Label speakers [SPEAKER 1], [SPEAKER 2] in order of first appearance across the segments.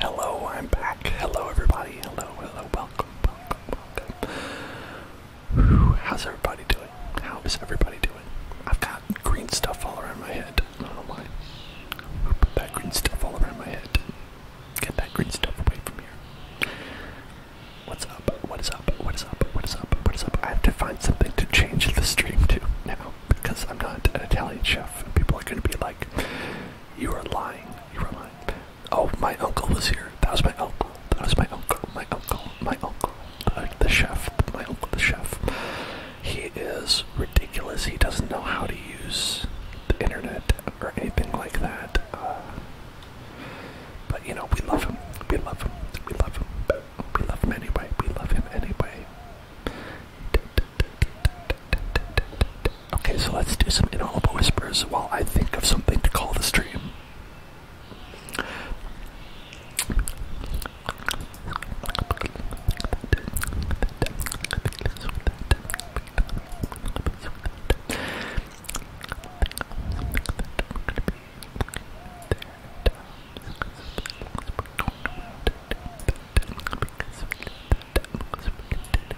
[SPEAKER 1] Hello, I'm back. Hello, everybody. Hello, hello, welcome, welcome, welcome. how's everybody doing? How is everybody doing? I've got green stuff all around my head. I don't know why. Put that green stuff all around my head. Get that green stuff away from here. What's up? What is up? What is up? What is up? What is up? I have to find something to change the stream to now because I'm not an Italian chef. People are going to be like, you are lying. You are lying. Oh, my uncle was here. That was my uncle. That was my uncle. My uncle. My uncle. The, chef. My uncle, the chef. He
[SPEAKER 2] is ridiculous. He doesn't know how to use the internet or anything like
[SPEAKER 1] that. Uh, but you know, we love him. We love him. We love him. We love him anyway. We love him anyway. Okay, so let's do some inaudible whispers while I think of something to call the stream.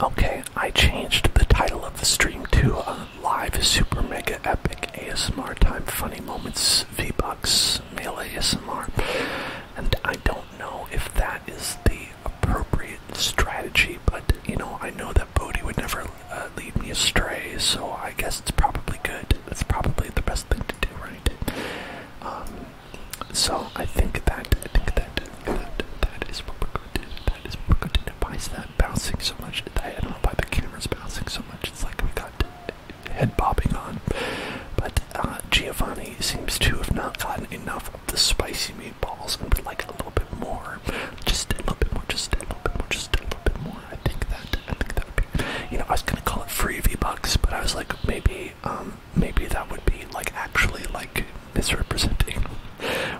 [SPEAKER 1] Okay, I changed the title of the stream to uh, Live Super Mega Epic ASMR Time Funny Moments V-Bucks Male ASMR. And I don't know if that is the appropriate
[SPEAKER 2] strategy, but you know, I know that that would never uh, lead me astray, so I
[SPEAKER 1] guess it's probably good. It's probably the best thing to do, right? Um, so I think that I think that that is what we're going to do. That is what we're going to do. Why is that bouncing so much? I don't know why the camera's bouncing so much. It's like we got head bobbing on. But uh, Giovanni seems to have not gotten enough of the spicy meatballs and would like a little bit more. Just a little bit more. Just a little bit more a little bit more. I think that I think that would be you know, I was gonna call it free V Bucks, but I was like maybe um maybe that would be like actually like misrepresenting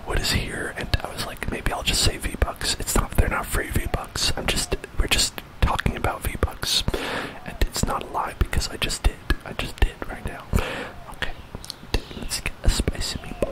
[SPEAKER 1] what is here and I was like maybe I'll just say V Bucks. It's not they're not free V Bucks. I'm just we're just talking about V Bucks and it's not a lie because I just did. I just did right now. Okay. Let's get spicy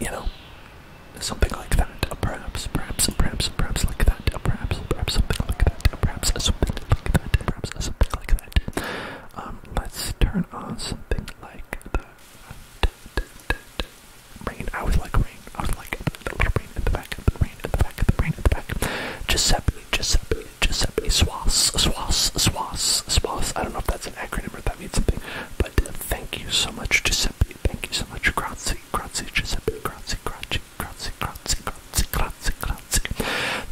[SPEAKER 1] You know, something like that, perhaps, perhaps, perhaps, perhaps like that, perhaps, perhaps something like that, perhaps something like that, perhaps something like that. Um, let's turn on something like that rain. I always like rain. I was like rain in the back, in the rain in the back, in the rain in the back. Giuseppe, Giuseppe, Giuseppe, Swas, Swas, Swas, Swas. I don't know if that's an acronym or if that means something, but thank you so much, Giuseppe. Thank you so much, Grazie, Grazie, Giuseppe, Grazie, Grazie, Grazie, Grazie, Grazie, Grazie, Grazie.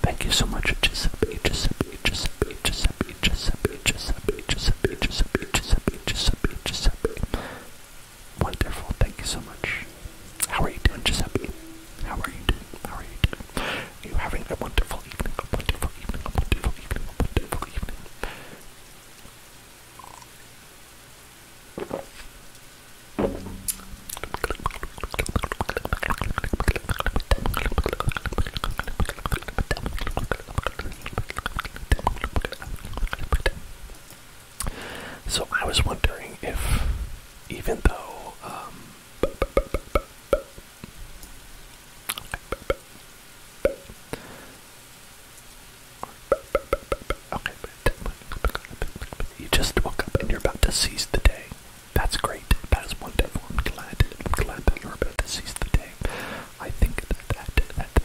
[SPEAKER 1] Thank you so much, Giuseppe, Giuseppe, Giuseppe, Giuseppe, Giuseppe, Giuseppe, Giuseppe, Giuseppe, Giuseppe, Giuseppe, Giuseppe. Wonderful, thank you so much. How are you doing, Giuseppe? How are you doing? How are you doing? you having a wonderful evening? A wonderful evening, a wonderful evening, a wonderful evening. So I was wondering if, even though, um, you just woke up and you're about to seize the day. That's great. That is wonderful. I'm glad. glad that you're about to seize the day. I think that that that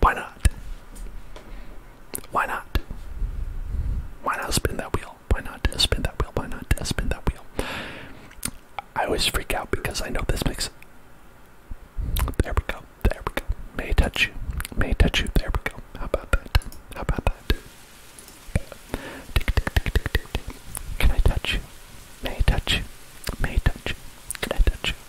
[SPEAKER 1] why not? Why not? Why not spin that wheel? Why not spin that wheel? Why not spin that wheel? I always freak out because I know this makes. There we go. There we go. May touch you. May touch you. There we go. How about that? How about that? Tick, tick, tick, tick, tick, Can I touch you? May touch you? May touch you? Can I touch you?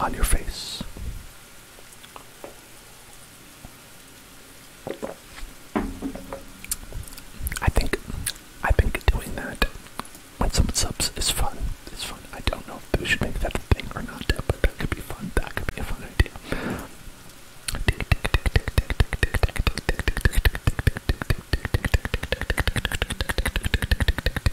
[SPEAKER 1] on your face. I think I've doing that when someone subs is fun. It's fun. I don't know if we should make that a thing or not, but that could be fun. That could be a fun idea.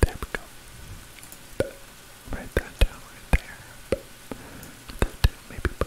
[SPEAKER 1] There we go. Write that down right there. Maybe put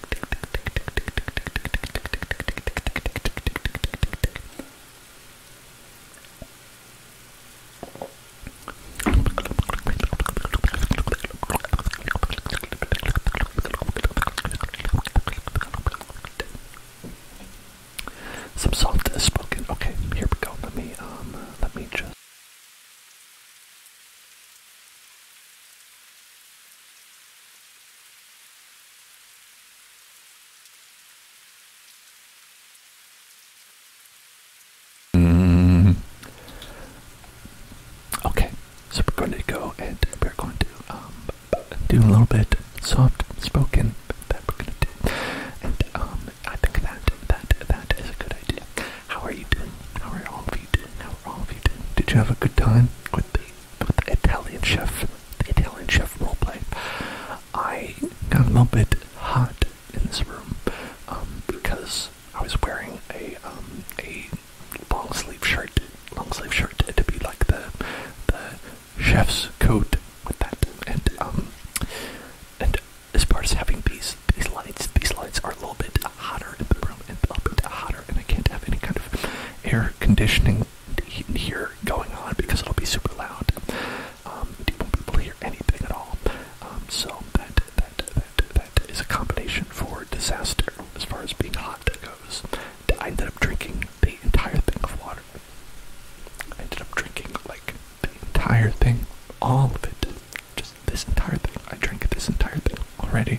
[SPEAKER 1] Some salt is spoken. Okay, here we go. Let me um, let me just.
[SPEAKER 2] Mm-hmm. Okay,
[SPEAKER 1] so we're going to go and um, do a little bit soft spoken that we're going to do. And um, I think that, that, that
[SPEAKER 2] is a good idea. How are you doing? How are all of you doing? How are all of you doing? Did you have a good time with the with
[SPEAKER 1] the Italian chef, the Italian chef roleplay, I got a little bit hot in this room um, because I was wearing a um, a long sleeve shirt, long sleeve shirt to be like the the chef's coat with that, and um, and as far as having these these lights, these lights are a little bit hotter in the room, and a little bit hotter, and I can't have any kind of air conditioning here going on because it'll be super loud. Um, you won't be able to hear anything at all. Um, so that, that that that is a combination for disaster as far as being hot goes. I ended up drinking the entire thing of water. I ended up drinking like the entire thing, all of it, just this entire thing. I drank this entire thing already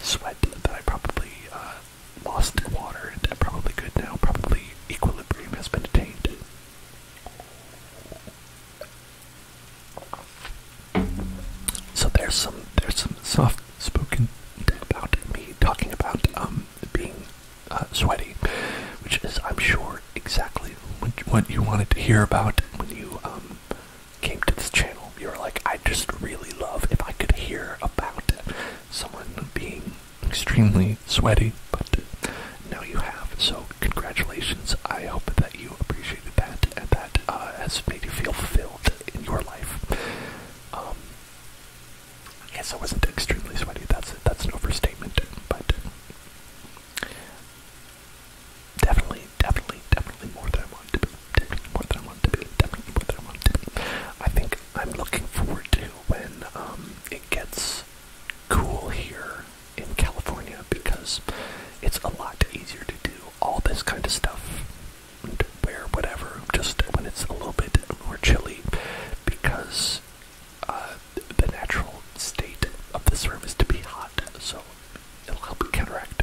[SPEAKER 1] sweat that I probably uh, lost water and probably could now. Probably equilibrium has been attained. So there's some there's some soft spoken about me talking about um, being uh, sweaty, which is I'm sure exactly what you wanted to hear about when you um came to this channel, you were like, I just really love if I could hear about someone being extremely sweaty, but now you have. So congratulations. I hope that you appreciated that and that uh, has made you feel fulfilled in your life. Um, yes, I wasn't extremely sweaty. That's that's an overstatement, but definitely, definitely, definitely more than I was definitely more than I want to definitely more than I want to I think I'm looking forward to when um, it gets cool here in California because it's a lot easier to do all this kind of stuff, wear whatever, just when it's a little bit more chilly because uh, the natural state of the room is to be hot, so it'll help counteract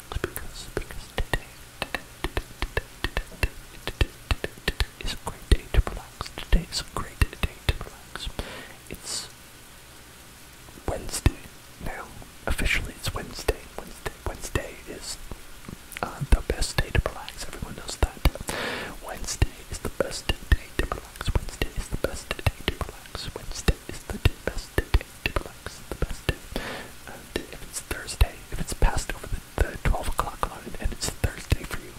[SPEAKER 1] because today, is a great day to relax. Today is a great day to relax. It's Wednesday now. Officially, it's Wednesday. Wednesday. Wednesday is uh, the best day to relax. Everyone knows that. Wednesday is the best day to relax. Wednesday is the best day to relax. Wednesday is the best day Diplomax, the best day. And if it's Thursday, if it's past over the, the 12 o'clock line and it's Thursday for you,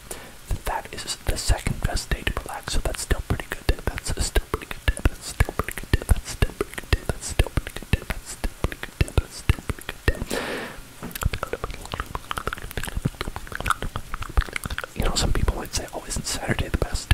[SPEAKER 1] then that is the second best day to relax. So that's still pretty good. Day. That's still pretty good. Day. That's still pretty good. Day. That's still pretty good. Day. That's still pretty good. Day. That's still pretty good. Day. That's still pretty good. Day. You know, some people might say, "Oh, isn't Saturday the best?"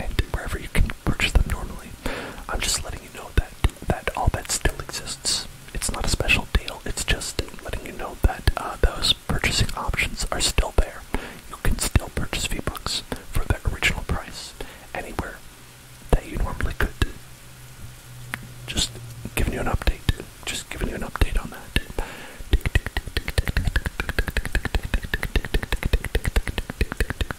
[SPEAKER 1] and wherever you can purchase them normally. I'm just letting you know that that all that still exists. It's not a special deal. It's just letting you know that those purchasing options are still there. You can still purchase v books for their original price anywhere that you normally could. Just giving you an update. Just giving you an update on that.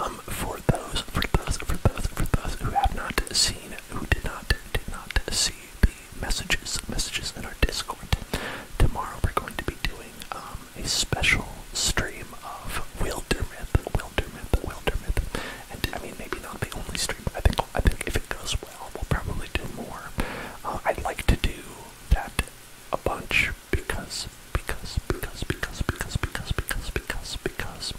[SPEAKER 1] Um, for those, for those, for those, for those who have not seen, who did not, did not see the messages, messages in our Discord, tomorrow we're going to be doing um, a special stream of Wilder Myth, Wilder and I mean maybe not the only stream, I think I think if it goes well, we'll probably do more. Uh, I'd like to do that a bunch because, because, because, because, because, because, because, because, because.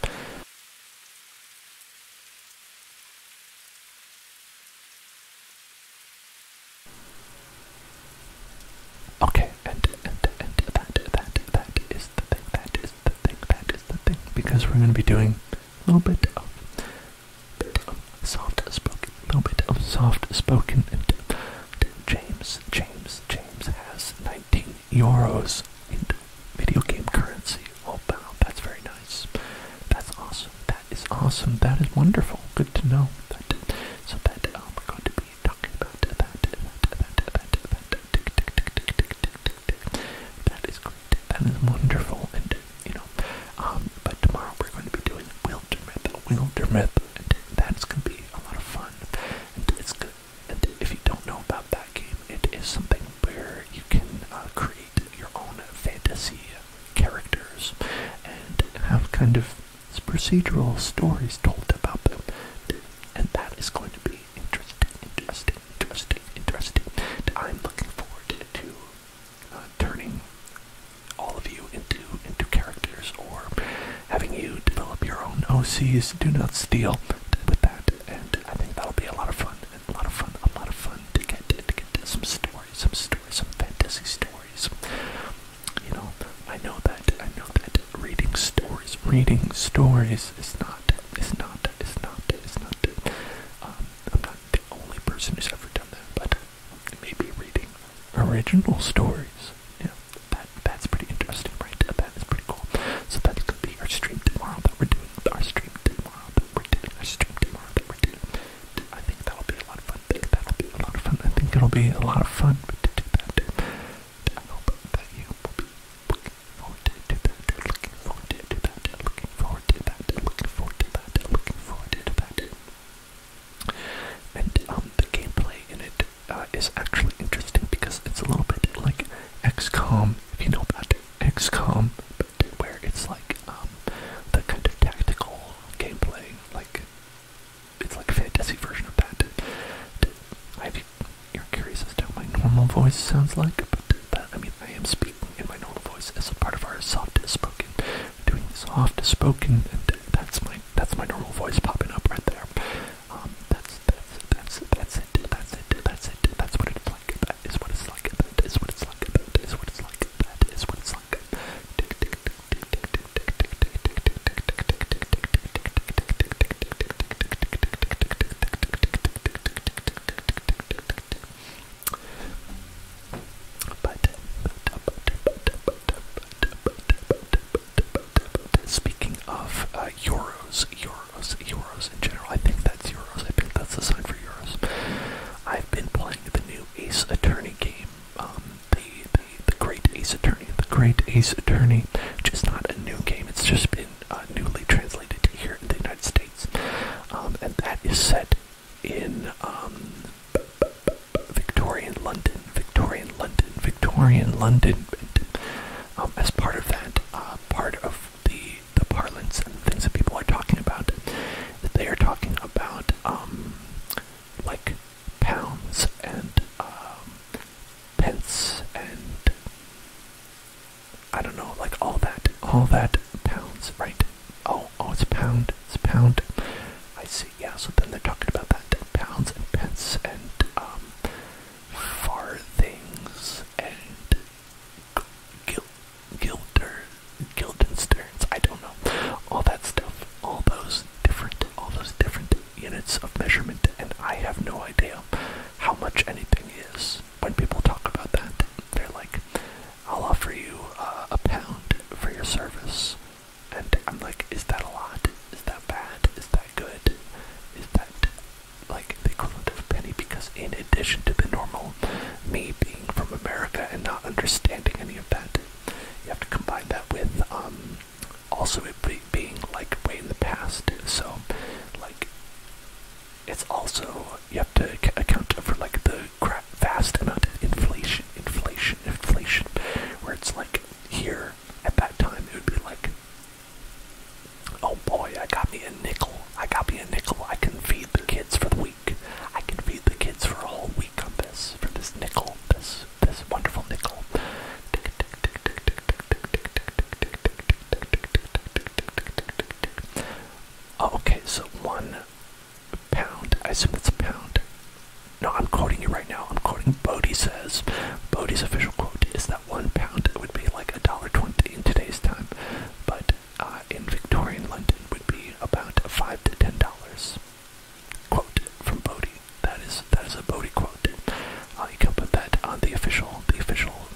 [SPEAKER 1] Okay, and, and, and that, that, that is the thing, that is the thing, that is the thing, because we're going to be doing a little bit of, bit of soft spoken, a little bit of soft spoken. And James, James, James has 19 euros in video game currency. Oh that's very nice. That's awesome. That is awesome. That is wonderful.
[SPEAKER 2] Good to know. so that um, we're going to be talking about that, that, that, that, that, that, tick, tick, tick, tick, tick, tick,
[SPEAKER 1] that is great. That is wonderful. And you know, um, but tomorrow we're going to be doing *Wilder *Wilder Wildermyth, and that's going to be a lot of fun. And it's good. And if you don't know about that game, it is something where you can uh, create your own fantasy characters and have kind of procedural stories told about them. And that is going to be very interesting, interesting, interesting, interesting. And I'm looking forward to uh, turning all of you into into characters or having you develop your own OCs. Do not steal with that, and I think that'll be a lot of fun. A lot of fun. A lot of fun to get to get to some stories, some stories, some fantasy stories. You know, I know that I know that reading stories, reading stories is not it's not. It's not. It's not. Um, I'm not the only person who's ever done that, but maybe reading original stories. Yeah, that that's pretty interesting, right? That is pretty cool. So that's gonna be our stream tomorrow that we're doing. Our stream tomorrow that we're doing. Our stream tomorrow that we're doing. I think that'll be a lot of fun. That'll be a lot of fun. I think it'll be a lot of fun to do that. I hope that you will be forward to that, looking forward to that, looking forward to that, looking forward to that, looking forward to that. And um, the gameplay in it uh, is actually interesting because it's a little bit like XCOM, if you know about XCOM, but where it's like um, the kind of tactical gameplay, like it's like a fantasy version of that. I you're curious as to how my normal voice sounds like, but that, uh, I mean. I am speaking in my normal voice as a part of our soft spoken. We're doing soft spoken, and that's my that's my normal voice popping up right there. Um, that's that's that's that's it. That's it. That's it. That's what it's like. That is what it's like. That is what it's like. That is what it's like. That is what it's like speaking of uh, euros, euros, euros in general, I think that's euros. I think that's the sign for euros. I've been playing the new Ace Attorney game. Um, the, the the Great Ace Attorney, the Great Ace Attorney, which is not a new game. It's just been uh, newly translated to here in the United States. Um, and that is set in um, Victorian London, Victorian London, Victorian London. Um, as part of that, uh, part of the, the parlance and things that people are talking about, they are talking about like pounds and pence and I don't know, like all that, all that pounds, right? Oh, oh, it's pound, it's pound. I see, yeah, so then they're talking about that, pounds and pence and, um, farthings and gil gilder, gildensterns, I don't know. All that stuff, all those different, all those different units of measurement, and I have no idea how much anything is when people talk about that, they're like, I'll offer you uh, a pound for your service. And I'm like, is that a lot? Is that bad? Is that good? Is that like the equivalent of a penny? Because in addition to the normal, me being from America and not understanding any of that, you have to combine that with um, also it be being like way in the past. So, like, it's also you have to account for like the vast amount of inflation, inflation, inflation, where it's like here at that time it would be like, oh boy, I got me a nickel, I got me a nickel, I can feed the kids for the week, I can feed the kids for a whole week on this for this nickel, this this wonderful nickel. Oh, okay, so one pound. I assume that's a pound. No, I'm quoting you right now. I'm quoting Bodie says. Bodie's official quote is that one pound would be like a dollar twenty in today's time, but uh, in Victorian London would be about five to ten dollars. Quote from Bodie. That is that is a Bodie quote. Uh, you can put that on the official the official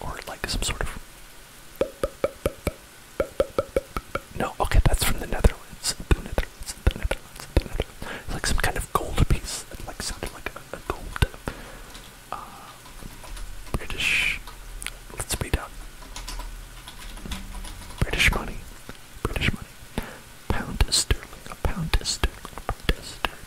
[SPEAKER 1] or like some sort of. No, okay, that's from the Netherlands. It's like some kind of gold piece. It like sounded like a, gold. Uh, British. Let's speed up. British money. British money. Pound sterling. pound sterling. Pound sterling.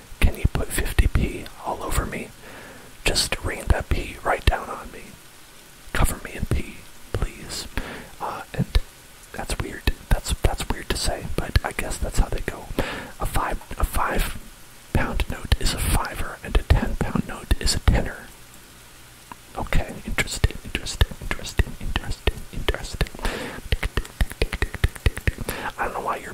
[SPEAKER 1] Can you put 50p all over me? Just rain that p right down on me. Cover me in p, please. Uh, and that's weird. That's that's weird to say, but I guess that's how they go. A five a five pound note is a fiver, and a ten pound note is a tenner. Okay, interesting, interesting, interesting, interesting, interesting. I don't know why you're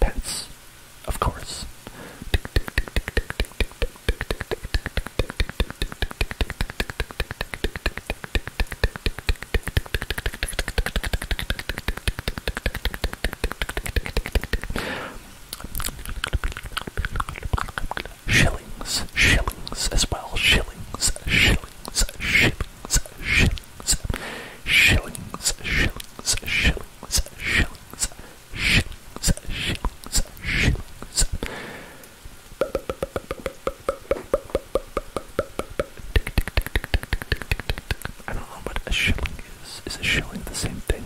[SPEAKER 1] Pence, of course. Shillings, shillings as well. shillings, shillings, shillings, shillings, shillings, shillings shillings, shillings, shillings,
[SPEAKER 2] shillings, shillings.
[SPEAKER 1] I don't know what a shilling is. Is a shilling the same thing?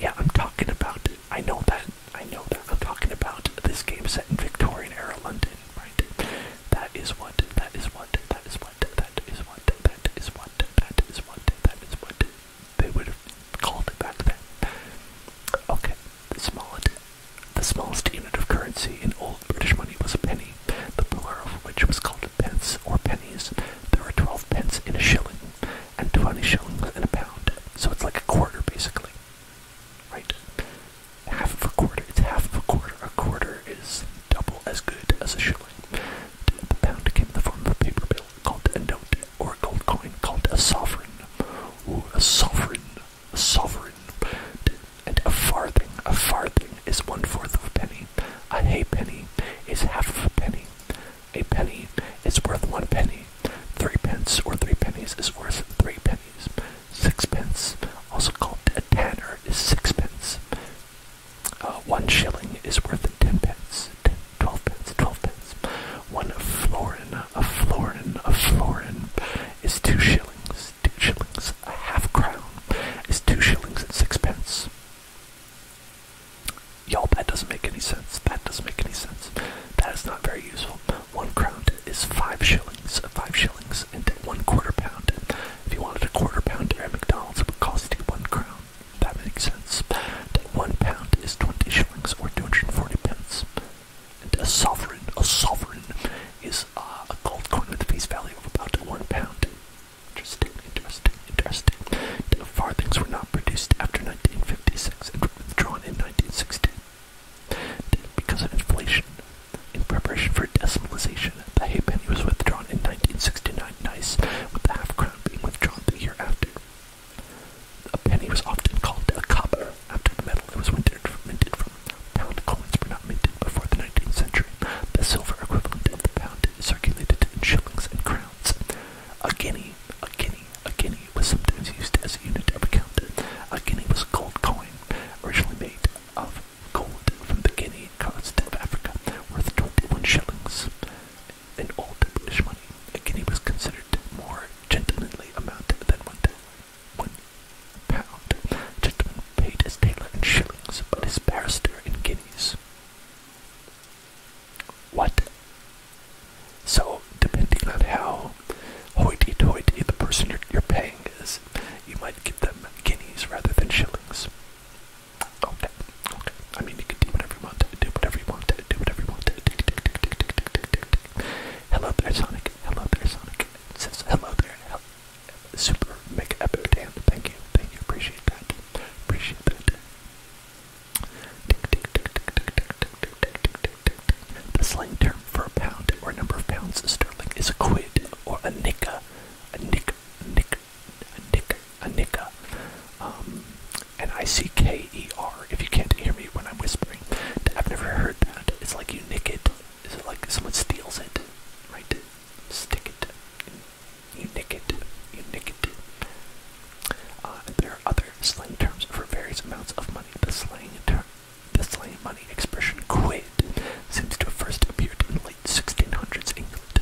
[SPEAKER 1] yeah, I'm talking about. I know that. I know that. I'm talking about this game set in Victorian era London, right? That is what, that is what, that is what, that is what, that is what, that is what, that is what they would have called it back then. Okay, the smallest, the smallest unit of currency in old British money was a penny, the pillar of which was called pence or pennies. There are 12 pence in a shilling, and 20 shillings in a pound, so it's like a quarter basically. Right? Half of a quarter, it's half of a quarter. A quarter is double as good as a shilling. The pound came in the form of a paper bill called a note or a gold coin called a sovereign. Ooh, a sovereign, a sovereign. And a farthing, a farthing is one fourth of a penny. A halfpenny is half a penny. A penny is worth one penny. Three pence or three pennies is worth three pennies. Sixpence, also called a tanner, is sixpence. Uh, one shilling is worth 10 pence, ten, twelve pence, 12 pence. One florin, a florin, a florin is two shillings, two shillings. A half crown is two shillings and sixpence. Y'all, that doesn't make any sense. That doesn't make any sense. That is not very useful. One crown is five shillings, five shillings, and one quarter pound if you wanted a quarter pounder at McDonald's, it would cost you one crown. That makes sense. one pound is 20 shillings or 240 pence. And a sovereign, a sovereign is uh, a gold coin with a face value of about one pound. Interesting, interesting, interesting. farthings were not produced after 1956 and were withdrawn in 1960. Because of inflation, in preparation for decimalization, the Halfpenny was withdrawn in 1969, nice, with the half crown being withdrawn the year after. A penny was often called a copper after the metal it was minted from. Pound coins were not minted before the 19th century. The silver equivalent of the pound circulated in shillings and crowns. A guinea, a guinea, a guinea was sometimes used as a unit of account. A guinea was a gold coin, originally made of gold from the Guinea coast of Africa, worth 21 shillings in old British money. A guinea was considered more gentlemanly amount than one one pound. A gentleman paid his tailor in shillings, but his barrister in guineas. What? So, depending on how hoity-toity the person you're paying is, you might give them guineas rather than shillings. Okay, okay. I mean, you can do whatever you want. Do whatever you want. Do whatever you want. Hello there, Sonic. Hello there, Sonic. says hello there. Hello. Super mega epic Dan. Thank you. Thank you. Appreciate that. Appreciate that. The slang term for a pound or a number of pounds sterling is a quid or a nicka. A nick, nick, Nick, Anika, um, and I C K E R. If you can't hear me when I'm whispering, I've never heard that. It's like you nick it. Is it like someone steals it, right? Stick it. You nick it. You nick it. Uh, there are other slang terms for various amounts of money. The slang term, the slang money expression "quid" seems to have first appeared in 1600s England,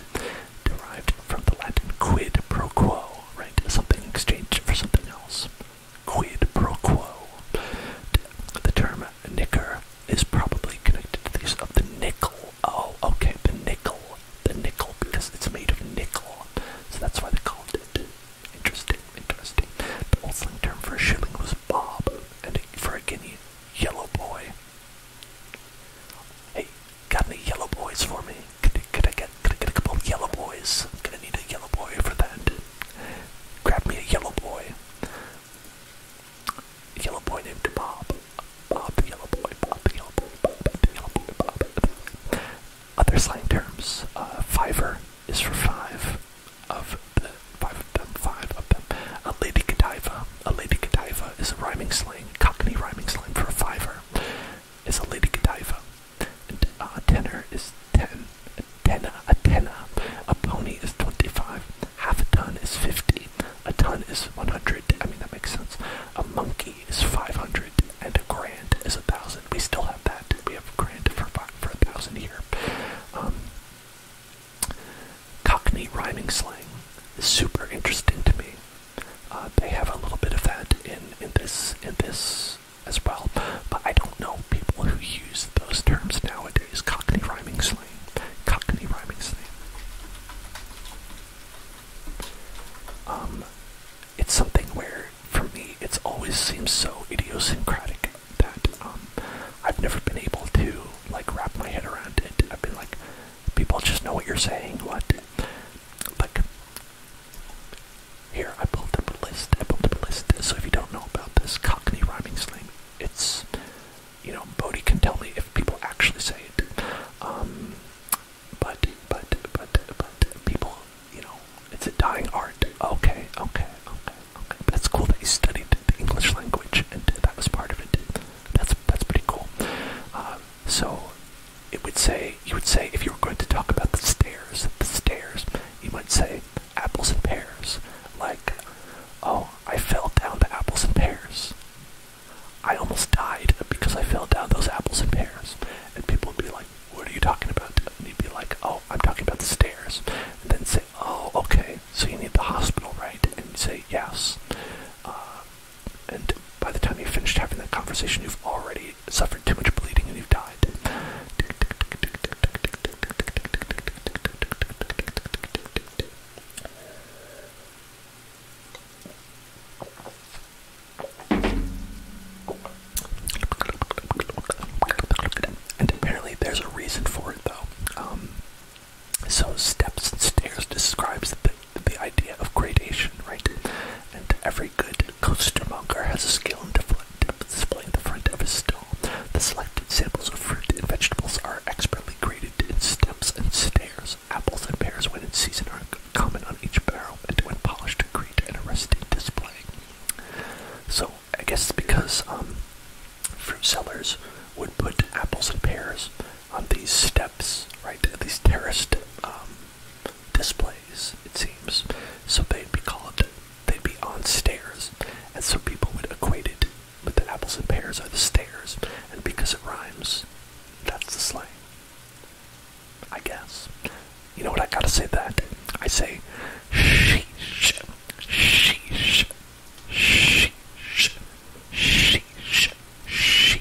[SPEAKER 1] derived from the Latin quid pro quo, right? Something exchanged for something else. Quid pro quo. The term knicker is probably connected to the use of the nickel. Oh, okay, the nickel. The nickel, because it's made of nickel. So that's why they called it. Interesting, interesting. The old slang term for a shilling was bob, and for a guinea, yellow boy. Hey, Got any yellow boys for me? Could, could I get could I get a couple yellow boys? I'm gonna need a yellow boy for that. Grab me a yellow boy. yellow boy named Bob. Bob the yellow boy. Bob the yellow boy. Bob the yellow boy. Bob. Other slang terms. Uh, fiver is for five of the five of them. Five of them. A uh, lady Godiva a lady Godiva is a rhyming slang, cockney rhyming slang for a fiver. Is a lady Godiva. Uh, a tenner is ten. A tenner, a tenner. A pony is twenty-five. Half a ton is fifty. A ton is one hundred. I mean that makes sense. A monkey is five hundred, and a grand is a thousand. We still have that. We have a grand for for a thousand here. Um, Cockney rhyming slang is super interesting to me. Uh, they have a little bit of that in in this in this as well, but I don't know people who use those terms nowadays. Cockney rhyming slang, Cockney rhyming slang. Um, it's something where for me it's always seems so idiosyncratic that um, I've never been able to like wrap my head around it. I've been like, people just know what you're saying, what? Like, here, I pulled up a list, I pulled up a list, so if you don't know about this Cockney rhyming slang, it's, you know, Bodie can tell me if people actually say it, um, but, but, but, but, people, you know, it's a dying art, okay, okay, okay, okay, That's cool that you studied the English language, and that was part of it, that's, that's pretty cool, uh, so it would say you would say if you were going to talk about the stairs, the stairs, you might say apples and pears. Like, oh, I fell down to apples and pears. I almost died because I fell down those apples and pears. And people would be like, What are you talking about? And you'd be like, Oh, I'm talking about the stairs. And then say, Oh, okay, so you need the hospital, right? And you say, Yes. Uh, and by the time you've finished having that conversation, you've already suffered too much bleeding and you've died. And apparently, there's a reason for it, though. Um, so steps and stairs describes the, the idea of gradation, right? And every good costermonger has a skill in displaying the front of his stall. The selected samples of fruit and vegetables are expertly graded in steps and stairs. Apples and pears, when in season, are common on each barrel, and when polished, create an arresting display. So I guess because um, fruit sellers would put apples and pears on these steps, right? These terraced um, displays, it seems. So they'd be called, they'd be on stairs, and so people would equate it with the apples and pears are the stairs, and because it rhymes, that's the slang. I guess. You know what? I gotta say that. I say, sheesh, sheesh,
[SPEAKER 2] sheesh, sheesh, sheesh.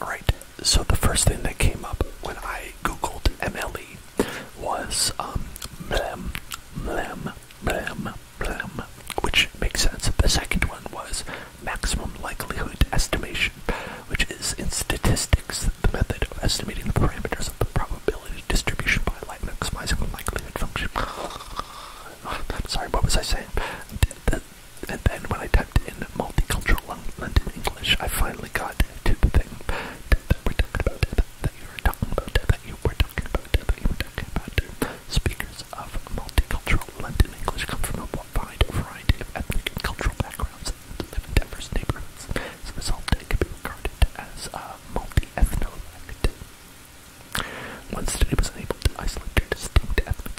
[SPEAKER 1] Alright, so the first thing that came up when I googled MLE was um, blem, blem, blem, blem, which makes sense. The second one was maximum likelihood estimation, which is in statistics the method of estimating the parameters of the probability distribution by maximizing the likelihood function. I'm sorry, what was I saying? And then when I typed in multicultural London English, I finally got to the thing that we're talking about, that you were talking about, that you were talking about, that you were talking about. Speakers of multicultural London English come from a wide variety of ethnic and cultural backgrounds and live in diverse neighborhoods. As a result, they can be regarded as uh, multi-ethnolect. Once the study was unable to isolate their distinct ethnic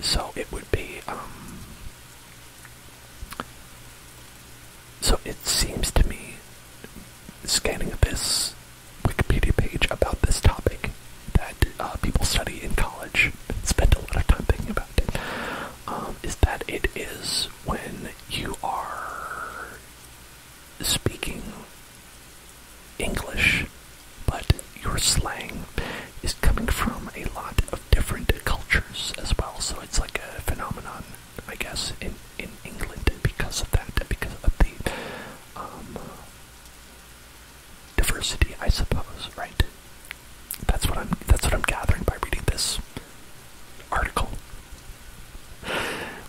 [SPEAKER 1] So it would be, um, so it seems to me, scanning this Wikipedia page about this topic that uh, people study in college, spend a lot of time thinking about it, um, is that it is when you are speaking English but your slang is coming from a lot of different cultures as well. So it's like a phenomenon, I guess, in in England because of that, because of the um, diversity, I suppose. Right? That's what I'm. That's what I'm gathering by reading this article.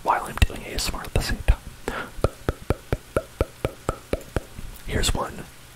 [SPEAKER 1] While I'm doing ASMR at the same time. Here's one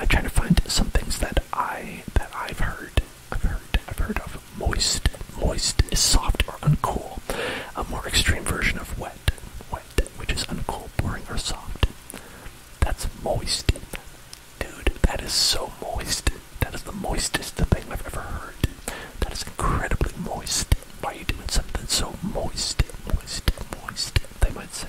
[SPEAKER 1] I'm trying to find some things that I that I've heard. I've heard. I've heard of moist. Moist is soft or uncool. A more extreme version of wet. Wet, which is uncool, boring, or soft. That's moist. Dude, that is so moist. That is the moistest thing
[SPEAKER 2] I've ever heard. That is incredibly moist. Why are you doing something so moist?
[SPEAKER 1] Moist, moist, they might say.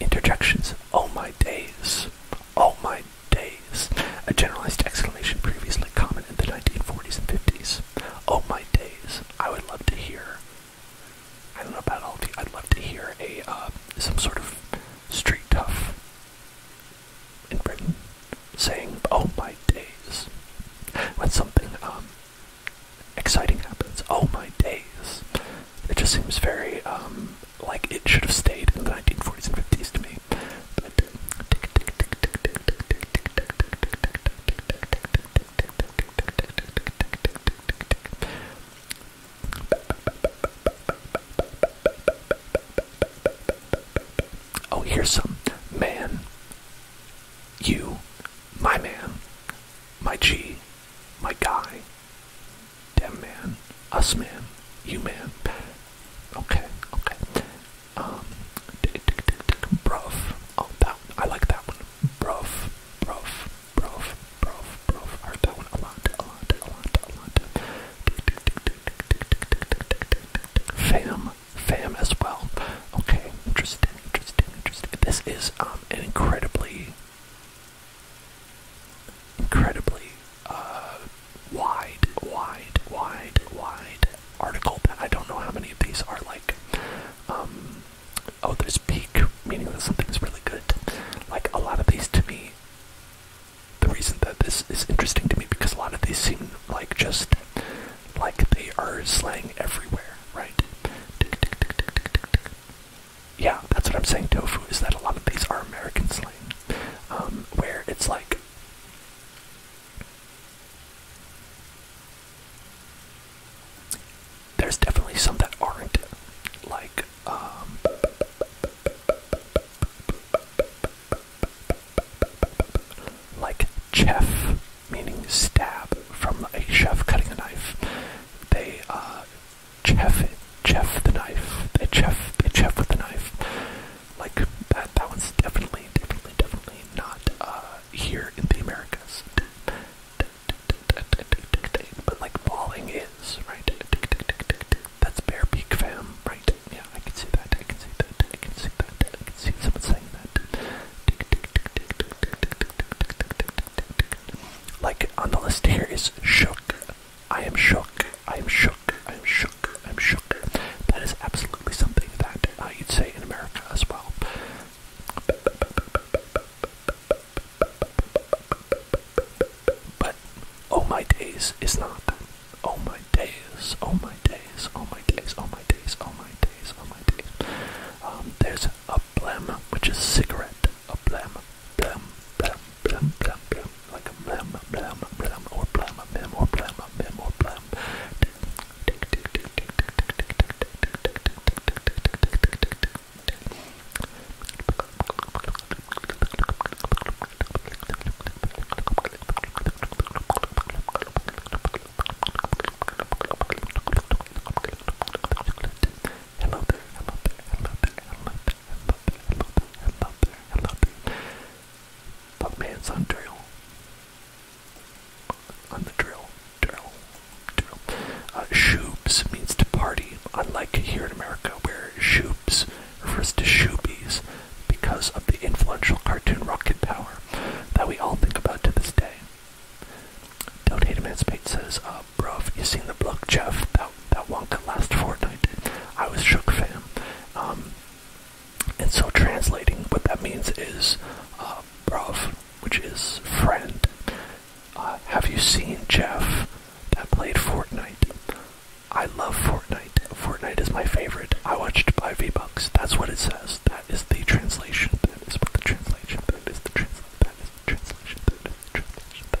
[SPEAKER 1] interjections. Oh my days! Oh my days! A generalized exclamation previously common in the 1940s and 50s. Oh my days! I would love to hear. I don't know about all the. I'd love to hear a uh, some sort of street tough in Britain saying, "Oh my days!" when something um, exciting happens. Oh my days! It just seems very um, like it should have stayed in the 1940s and 50s to me. Oh, here's some man, you, my man, my G, my guy, Dem man, us man, you man. Okay, okay. Um, bruv. Oh, that one. I like that one. Bruv, bruv, bruv, bruv, bruv. I heard that one a lot, a lot, a lot, a lot. Fam, fam as well. Okay, interesting, interesting, interesting. This is um an incredibly incredibly uh, wide, wide, wide, wide article I don't know how many of these are like. Um, oh, there's peak, meaning that something's really good. Like a lot of these to me, the reason that this is interesting to me because a lot of these seem like just like they are slang everywhere, right? yeah, that's what I'm saying, tofu, is that a lot of these are American slang. Um, where it's like, there's definitely some that aren't, like, um, like chef, meaning stab, from a chef cutting a knife. They, uh, Chef it. Chef the knife. They chef they chef with the knife. Like that that one's definitely, definitely, definitely not uh, here in the Americas. But like falling is, right? That's bear beak fam, right? Yeah, I can see that, I can see that, I can see that, I can see someone saying that. Like on the list here is shook. I am shook. I am shook. I am shook. I am shook. That is absolutely something that uh, you'd say in America as well. But oh my days is not. Oh my days. Oh my days. Oh my days. Oh my days. Oh my days. Oh my days. Um, there's a blem, which is cigarette. A blem, blem, blem, blam blam blam, like a blam blam blam or blam blam or blam blam or blam. Hello there, hello there, hello there, hello there. Put my hands on drill. On the drill. Drill. Drill. Uh, shoobs means to party, unlike here in America where shoobs refers to shoobies because of the influential cartoon Rocket Power that we all think about to this day. Don't hate emancipate says, uh, bro, you seen the block Jeff that one could last Fortnite. I was shook, fam. Um, and so translating, what that means is, uh, which is friend. Uh, have you seen Jeff that played Fortnite? I love Fortnite. Fortnite is my favorite. I watched by V-Bucks. That's what it says. That is the translation. That is what the translation. That is the translation. That is the translation. That is the translation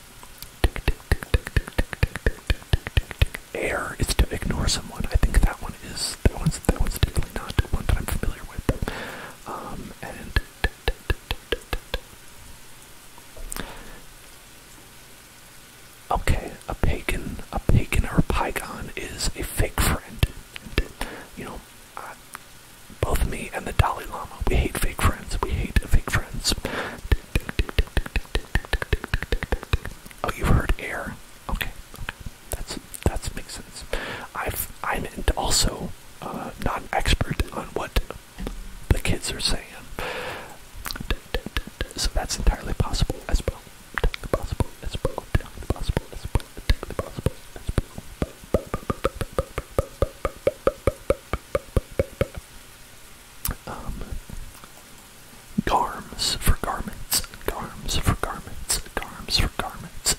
[SPEAKER 1] Air is to ignore someone. I think that one is that one's that one's definitely not one that I'm familiar with. Um, and okay, a pagan, a pagan or a pygon is a fake friend. You know, both me and the Dalai Lama. We hate fake friends. We hate fake friends. Oh, you've heard air. Okay, okay. That's that makes sense. I've I'm also uh, not an expert on what the kids are saying, so that's entirely possible Possible as well. Um, garms for garments, garms for garments, garms for garments.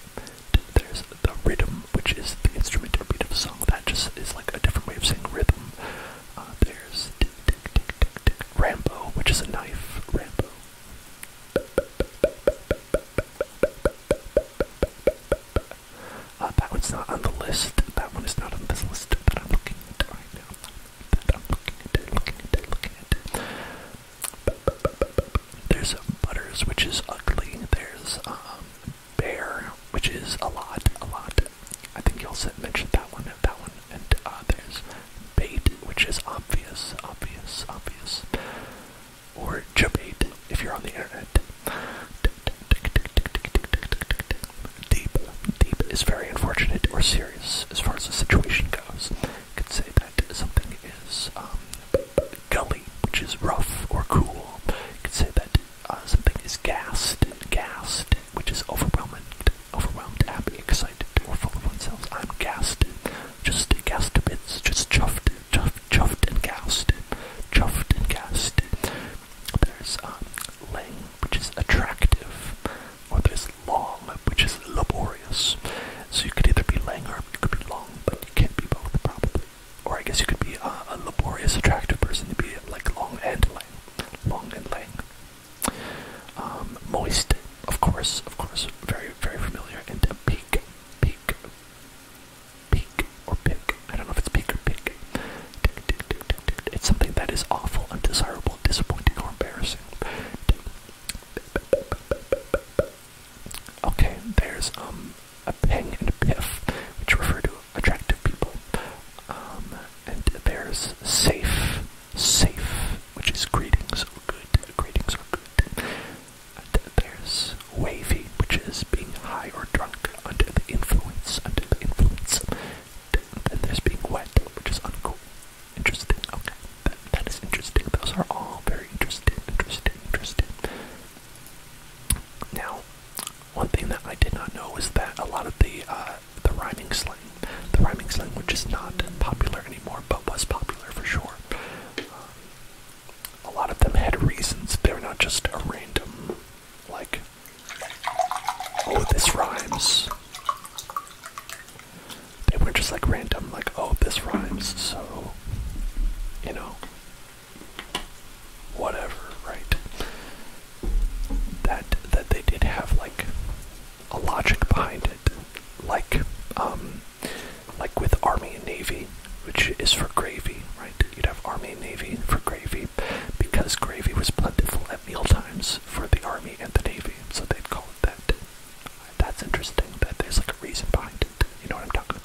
[SPEAKER 1] There's the rhythm, which is the instrument or beat of a song. That just is like a different way of saying rhythm. Uh, there's tick, tick, tick, tick, tick, Rambo, which is a knife. Rambo. Uh, that one's not on the list. That one is not on this list But I'm looking at right now. That I'm looking at, looking at, looking at. There's Butters, which is ugly. There's um, Bear, which is a lot, a lot. I think you also mentioned that one, that one, and uh, there's Bait, which is obvious, obvious, obvious. Or Jabate, if you're on the internet. Deep, deep is very unfortunate or serious as far as the situation goes. You could say that something is um, gully, which is rough or cool. You could say that uh, something is gassed, gassed, which is overwhelming, overwhelmed, happy, excited, or full of oneself. I'm gassed, just gassed a bit. just chuffed, chuffed, chuffed and gassed, chuffed and gassed. There's um, lang, which is attractive, or there's long, which is laborious. So you could either be lang or you could be long, but you can't be both, probably. Or I guess you could be uh, a laborious, attractive person to be like long and lang, long and lang. Um, moist, of course, of course, very, very familiar, and peak, peak, peak or pick. I don't know if it's peak or pick. It's something that is awful, undesirable, disappointing, or embarrassing. Okay, there's um a ping and a piff, which refer to attractive people. Um, and there's safe, safe, which is greetings are good. Greetings are good. And there's wavy, which is being high or drunk under the influence, under the influence. And there's being wet, which is uncool. Interesting, okay. That, that is interesting. Those are all very interesting, interesting, interesting. Now, one thing that I did not know is that a lot of the uh, the rhyming slang, the rhyming slang, which is not popular anymore, but was popular for sure. Um, a lot of them had reasons. They are not just a random, like, Oh, this rhymes. They were not just like random, like, oh, this rhymes, so, you know, whatever, right? That that they did have like a logic behind it, like um, like with army and navy, which is for gravy right? You'd have Army and Navy for gravy because gravy was plentiful at mealtimes for the Army and the Navy, so they'd call it that. That's interesting that there's like a reason behind it. You know what I'm talking about?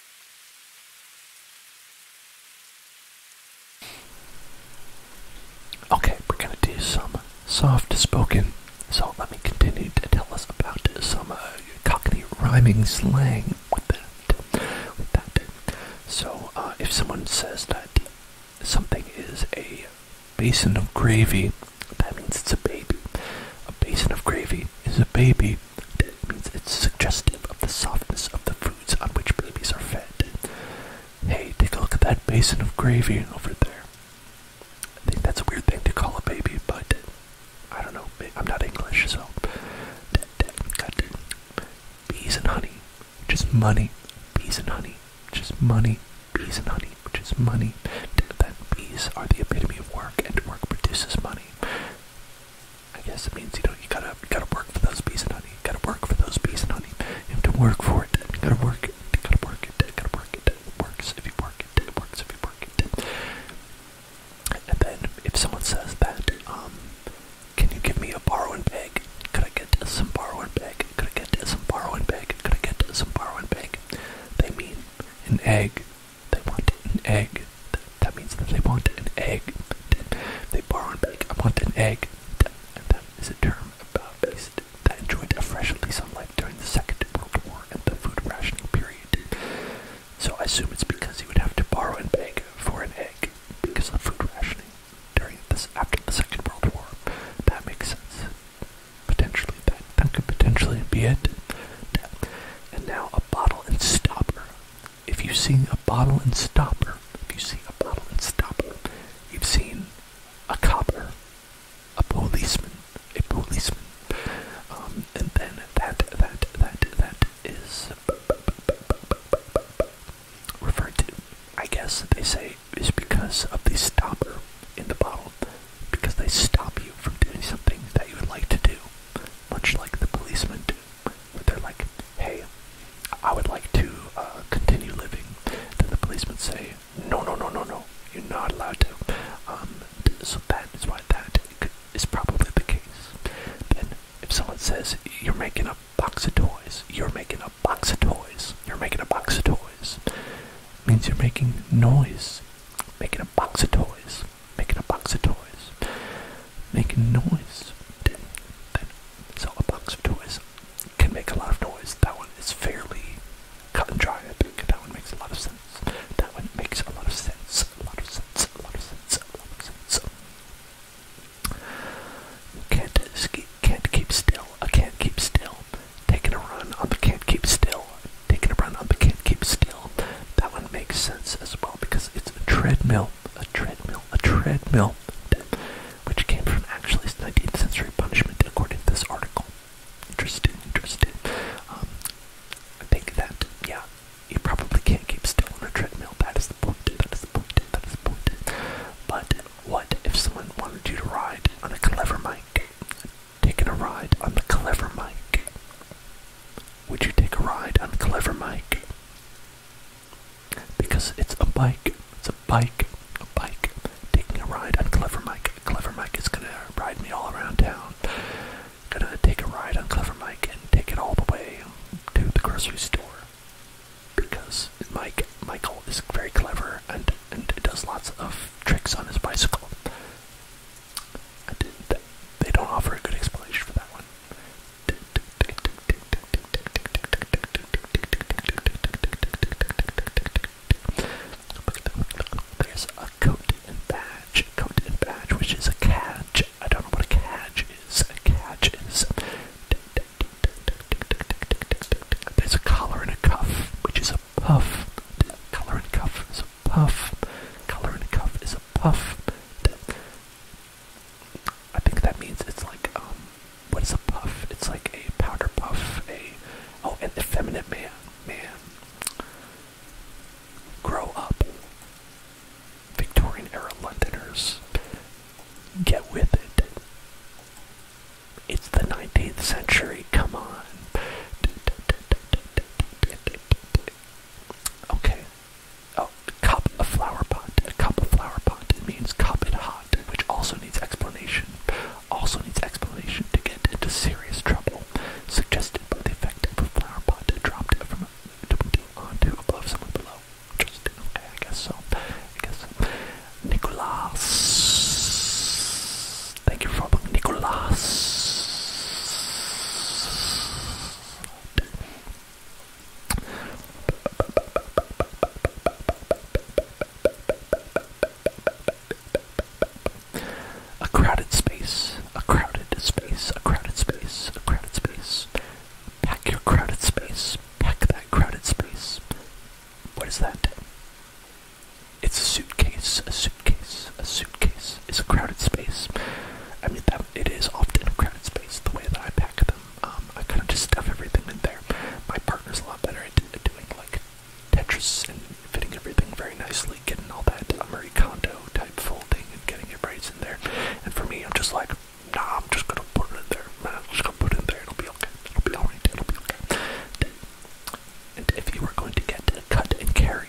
[SPEAKER 1] Okay, we're gonna do some soft spoken. So let me continue to tell us about some uh, cockney rhyming slang So uh, if someone says that something is a basin of gravy, that means it's a baby. A basin of gravy is a baby. It means it's suggestive of the softness of the foods on which babies are fed. Hey, take a look at that basin of gravy over there. I think that's a weird thing to call a baby, but I don't know. I'm not English, so. Got bees and honey, which is money. Bees and honey, which is money. Bees and honey, which is money. That bees are the epitome of work, and work produces money. I guess it means you know you gotta you gotta work for those bees and honey. You gotta work for those bees and honey.
[SPEAKER 2] You have to work for it. You gotta work it. You gotta work it. You gotta work it. It works if you
[SPEAKER 1] work it. It works if you work it. And then if someone says that, um, can you give me a borrow and beg? Could I get some borrow and beg? Could I get some borrow and beg? Could I get some borrow and beg? They mean an egg. They want an egg. That means that they want an egg. They borrow and beg. I want an egg. That, that is a term about beast that enjoyed a freshly sunlight during the Second World War and the food rationing period. So I assume it's because he would have to borrow and beg for an egg because of food rationing during this after the Second World War. That makes sense. Potentially that that could potentially be it. And now a bottle and stopper if you've seen a bottle and stopper, if you see a bottle and stopper, you've seen a copper, a policeman, a policeman, um, and then that that that that is referred to. I guess they say is because of the stopper in the bottle, because they stop you from doing something that you would like to do, much like the policeman do but they're like, hey, I would like to uh, continue living. Then the policemen say, no, no, no, no, no, you're not allowed to. Um, so that is why that is probably the case. Then if someone says, you're making a box of toys, you're making a box of toys, you're making a box of toys, means you're making noise, making a box of toys, making a box of toys making noise. Then, then, so a box of toys can make a lot of noise. That one is fairly cut and dry. that one makes a lot of sense. That one makes a lot of sense. A lot of sense. A lot of sense. A lot of sense. Can't escape. Can't keep still. I can't keep still. Taking a run on the can't keep still. Taking a run on the can't keep still. That one makes sense as well because it's a treadmill a treadmill, a treadmill, which came from actually 19th century punishment, according to this article. Interesting, interesting. Um, I think that, yeah, you probably can't keep still on a treadmill. That is the point, that is the point, that is the point. But what if someone wanted you to ride on a clever mic? Taking a ride on the clever mic. Would you take a ride on the Clever Mike? because it's a bike. It's a bike, a bike, taking a ride on Clever Mike. Clever Mike is gonna ride me all around town. Gonna take a ride on Clever Mike and take it all the way to the grocery store because Mike, Michael is very clever and and does lots of tricks on his bicycle. they don't offer a good explanation for that one. There's a coat and badge, coat and badge, which is a cadge. I don't know what a cadge is. A cadge is. There's a collar and a cuff, which is a puff. Collar and cuff is a puff. Collar and cuff is a puff. I think that means it's like um, what is a puff? It's like a powder puff. A oh, an effeminate man, man. Grow up. Victorian era Londoners, get with it. It's the 19th century. Come on. Okay, Oh, cup a flower pot. A cup of flower pot. It means cup and hot, which also needs explanation. Also needs explanation to get into serious trouble. Suggested by the effect of a flower pot dropped from onto above someone below. Just Interesting. Okay, I guess so. I guess so. Nicolas. Thank you for following Nicolas. A crowded space, a crowded space, a crowded space, a crowded space. Pack your crowded space, pack that crowded space. What is that? It's a suitcase, a suitcase, a suitcase. It's a crowded space. I mean, that, it is often a crowded space the way that I pack them. Um, I kind of just stuff everything in there. My partner's a lot better at doing like Tetris and fitting everything very nicely, getting all that Marie Kondo type folding and getting your braids in there. And for me, I'm just like, nah, I'm just gonna put it in there. Man, I'm just gonna put it in there. It'll be okay. It'll be alright. It'll be okay. And if you were going to get cut and carried,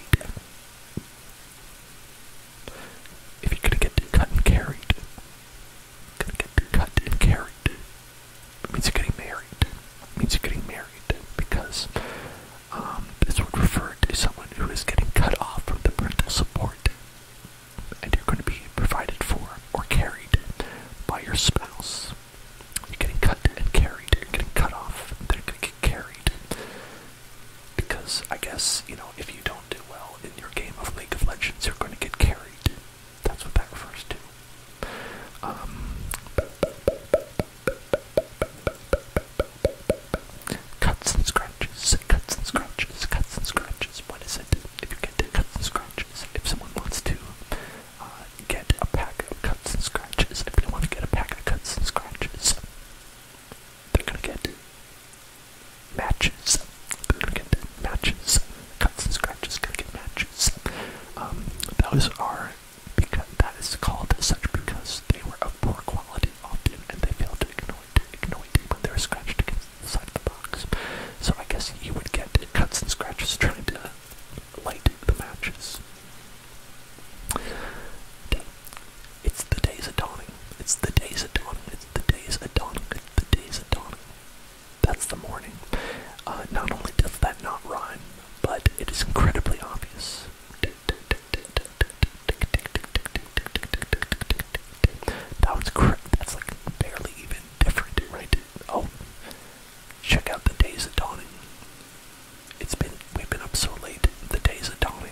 [SPEAKER 1] if you're gonna get cut and carried, gonna get cut and carried, it means you're getting married. means you're getting married because um, this would refer to someone who is getting cut off from the parental support, and you're going to be provided for or carried by your spouse. You're getting cut and carried. You're getting cut off. They're going to get carried because I guess you know if you don't do well in your game of League of Legends, you're going to get carried. That's what that refers to. Um, cuts and scratches, cuts and scratches, cuts and scratches. What is it? If you get cuts and scratches, if someone wants to uh, get a pack of cuts and scratches, if they want to get a pack of cuts and scratches, they're gonna get matches. Gonna get matches, cuts and scratches. Gonna get matches. Um, those are because that is called such because they were of poor quality often, and they failed to ignite, ignite when they were scratched against the side of the box. So I guess you would get cuts and scratches trying to light the matches. It's the days of dawning. It's the days of dawning. It's the days of dawning the day's of dawning. That's the morning. Uh, not only does that not rhyme, but it is incredibly obvious. That was correct. that's like barely even different, right? Oh, check out the day's of dawning. It's been we've been up so late. The day's of dawning.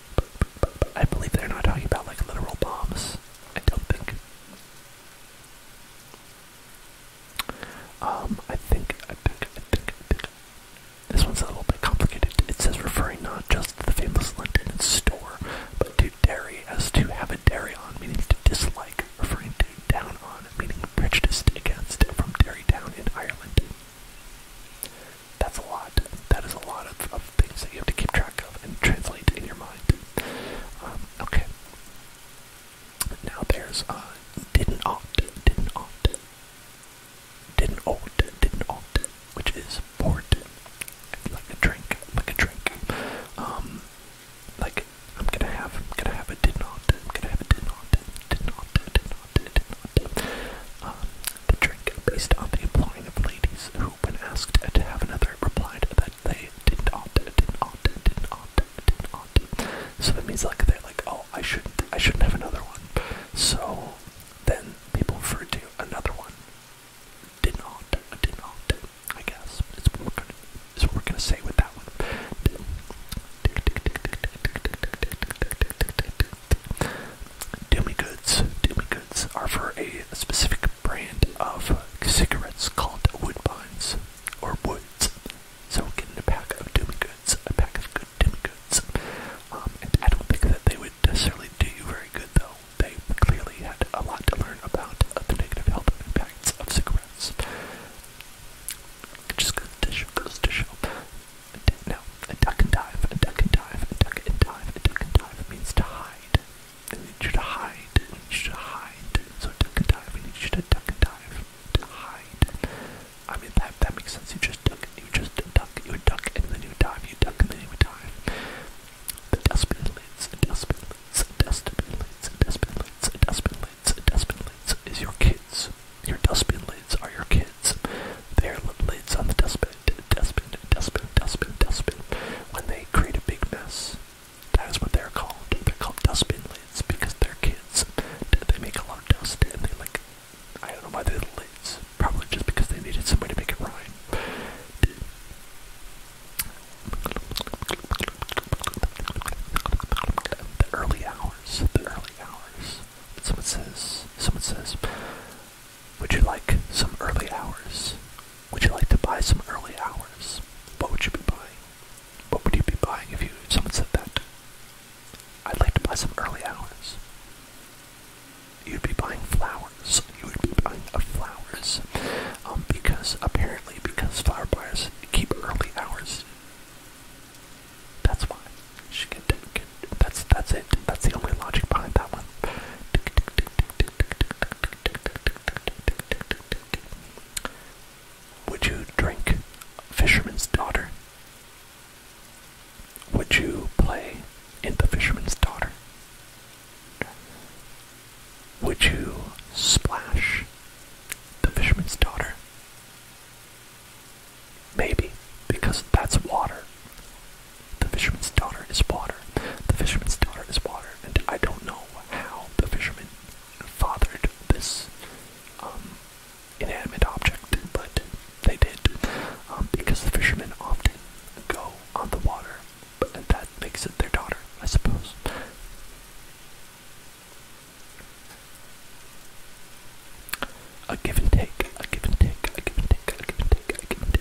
[SPEAKER 1] I believe they're not talking about like literal bombs. I don't think. Um, I think, I think, I think, I think. This one's a little bit complicated. It says referring not just to the famous London store, but to Derry as to have a Derry on, meaning to dislike, referring to down on, meaning prejudiced against, from dairy down in Ireland. That's a lot. That is a lot of, of things that you have to keep track of and translate in your mind. Um, okay. Now there's uh, didn't ought, didn't ought, didn't ought, didn't ought, which is port, like a drink, like a drink. Um, like I'm gonna have, I'm gonna have a didn't ought, I'm gonna have a didn't ought, didn't ought, didn't ought, didn't ought, didn't ought. Um, the drink, based on the implying of ladies who, when asked to have another, replied that they didn't ought, didn't ought, didn't didn't So that means like they're like, oh, I shouldn't, I shouldn't have another one. So then people referred to another one. Didn't ought, didn't I guess it's what we're gonna, it's what we're gonna say with that one. Doomy Goods. Doomy Goods are for a specific brand of cigarettes called Woodbines or Woods. So get a pack of Doomy Goods, a pack of good Doomy Goods. Um, I don't think that they would necessarily do you very good though. They clearly had a lot to learn about the negative health impacts of cigarettes. just goes to to show down. A duck and dive, a duck and dive, a duck and dive, a duck and dive means to hide. I need you to hide, I need you to hide. So duck and dive, I need you to duck and dive, to hide. I mean, that, that makes sense. You just duck, you just duck, you would duck, and then you would dive, you duck, and then you would dive. The dustbin lids, the dustbin lids, the dustbin lids, the dustbin lids, the dustbin lids, the dustbin lids is your kids. Your dustbin lids are your kids. They're little lids on the dustbin, dustbin, dustbin, dustbin, dustbin. When they create a big mess, that is what they're called. They're called dustbin lids because they're kids. They make a lot of dust and they like, I don't know why they're lids. Probably just because they needed some way to make it rhyme. The early hours, the early hours. Someone says, someone says, would you like some early hours? Would you like to buy some early hours? What would you be buying? What would you be buying if you someone said that? I'd like to buy some early hours. You'd be buying flowers. You would be buying flowers, um, because apparently because flower buyers keep early hours. That's why she can take that's that's it. That's the only logic behind that one. Would you drink Fisherman's Daughter? Would you play in The Fisherman's Daughter? Would you splash The Fisherman's Daughter? Maybe, because that's water. The fisherman's daughter is water. The fisherman's daughter is water. And I don't know how the fisherman fathered this um, inanimate object, but they did. Um, because the fisherman often go on the water, but that makes it their daughter, I suppose. A give and take, a give and take, a give and take, a give and take, a give and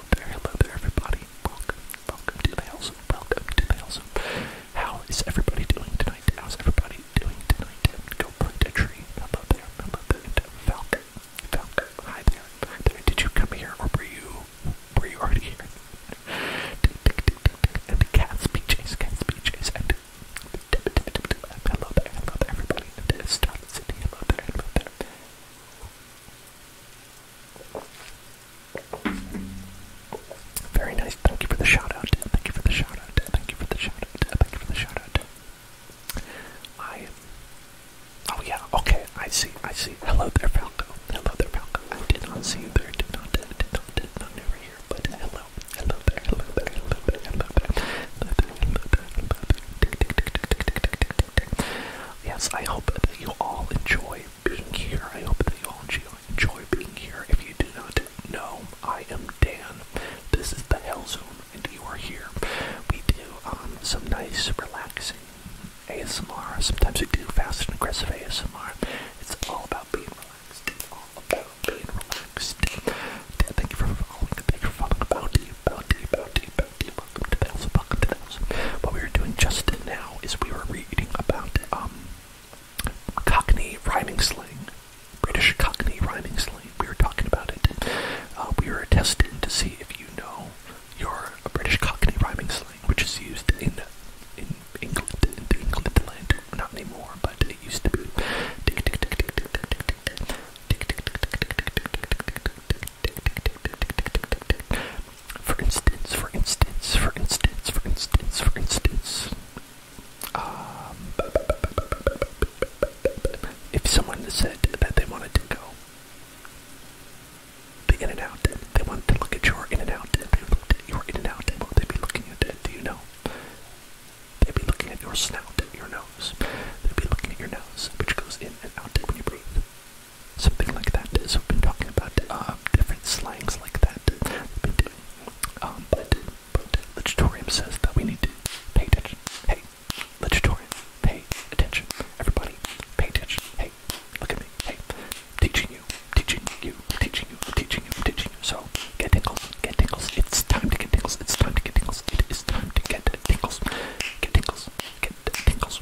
[SPEAKER 1] hello there, hello there, everybody. Welcome, welcome to the house. Welcome to the house. How is everybody doing tonight? How's everybody doing tonight? Go plant a tree. Hello there, hello there. Falcon, Falcon. Hi there, hi there. Did you come here, or were you, were you already here? And the cats be chased, cats be chased. And hello there, hello there, everybody. Starlet City, hello there, hello there. Very nice. Thank you for the shout out. Thank you for the shout out. Thank you for the shout out. Thank you for the shout I. Oh yeah. Okay. I see. I see. Hello there, Falco. Hello there, Falco. I did not see you there. Did not. Did not. Did not. Never hear. But hello. Hello there. Hello there. Hello there. Hello there. Hello there. Hello there. Hello there yes, I hope that you all enjoy being here. I hope that you all enjoy being here. If you do not know, I am Dan. This is the Hell Zone, and you are here. We do um, some nice, relaxing ASMR. Sometimes we do fast and aggressive ASMR. It's all about being relaxed. It's all about being relaxed. Dan, thank you for following. Thank you for following. Bounty, bounty, bounty, bounty. Welcome to Battles. Welcome to Battles. What we were doing just now is we were reading about Cockney rhyming slang, British Cockney rhyming slang. We were talking about it. we were testing to see if you know your British Cockney rhyming slang, which is used in in England, in England not anymore, but it used to be. For instance, for instance, for instance, for instance, for instance, um, if someone said that they wanted to go the in and out, they wanted to look at your in and out, and they looked at your in and out, and what they'd be looking at, do you know? They'd be looking at your snout, your nose. They'd be looking at your nose, which goes in and out when you breathe something like that. So we've been talking about um, different slangs like that. Um, but, but the tutorium says that we need to pay attention. Hey, the pay attention. Everybody, pay attention. Hey, look at me. Hey, teaching you, teaching you, teaching you, teaching you, teaching you. So get tingles, get tingles. It's time to get tingles. It's time to get tingles. It is time to get tingles. Get tingles, get tingles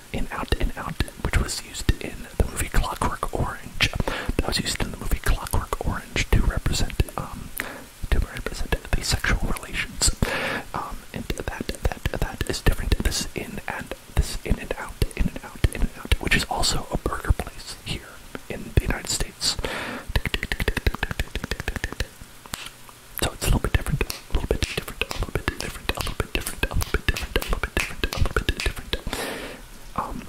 [SPEAKER 1] in out and out, which was used in the movie Clockwork Orange. That was used in the movie Clockwork Orange to represent um, to represent the sexual relations. Um, and that that that is different. This in and this in and out, in and out, in and out, which is also a burger place here in the United States. So it's a little bit different, a little bit different, a little bit different, a little bit different, a little bit different, different, a little bit different. Um,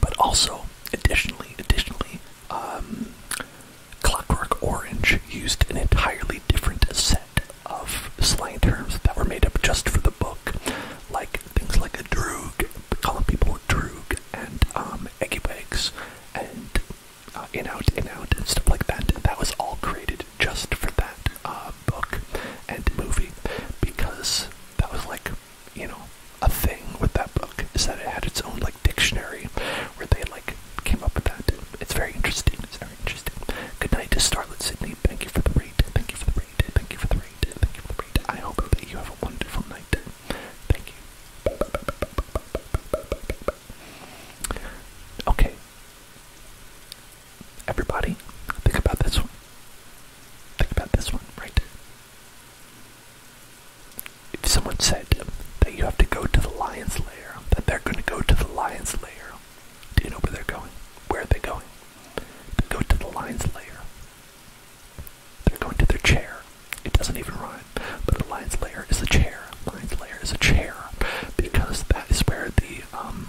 [SPEAKER 1] but also, additionally, additionally, um, Clockwork Orange used an entirely different set of slang terms that were made up just for the book, like things like a droog, calling people droog, and um, bags, and uh, in out, in out, and stuff like that. that was all created just for that uh, book and movie because
[SPEAKER 2] that was like, you know, a thing with that book is that it had its own like dictionary
[SPEAKER 1] where they like came up with that. It's very interesting. It's very interesting. Good night to Starlet Sydney. Thank you for the raid. Thank you for the raid. Thank you for the raid. Thank you for the raid. I hope that you have a wonderful night. Thank you. Okay. Everybody, think about this one. Think about this one right If someone said that you have to go to the lion's lair, that they're going to go to the lion's lair, do you know where they're going? Where are they going? They go to the lion's lair. They're going to their chair. It doesn't even rhyme, but the lion's lair is a chair. Lion's lair is a chair because that is where the um,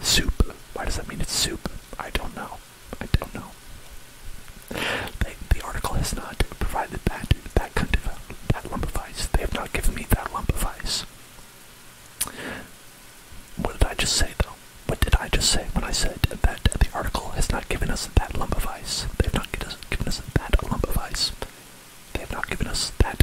[SPEAKER 1] Soup. Why does that mean it's soup? I don't know. I don't know. They, the article has not provided that that kind of that lump of ice. They have not given me that lump of ice. What did I just say though? What did I just say when I said that the article has not given us that lump of ice? They have not given us, given us that lump of ice. They have not given us that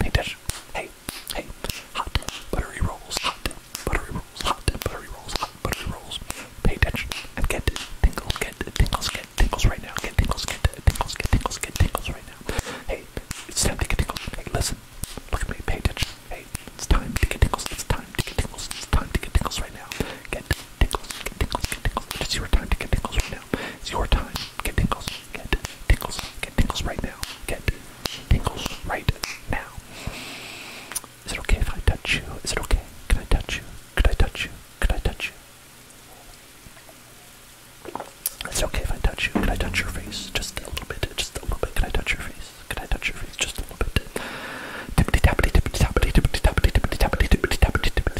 [SPEAKER 1] Painted. Hey, hey, hot buttery rolls, hot buttery rolls, hot buttery rolls, hot buttery rolls. Pay attention and get tingles, get tingles, get tingles right now. Get tingles, get tingles, get tingles, get tingles right now. Hey, it's time to get tingles. Hey, listen, look at me. Pay attention. Hey, it's time to get tingles. It's time to get tingles. It's time to get tingles right now. Get tingles, get tingles, get tingles. It's your time to get tingles right now. It's your time. Get tingles. Get tingles. Get tingles right now. Get tingles right now. Is it okay if I touch you? Is it okay? Can I touch you? Can I touch you? Can I touch you? It's okay if I touch you. Can I touch your face? Just a little bit. Just a little bit. Can I touch your face? Can I touch your face? Just a little bit.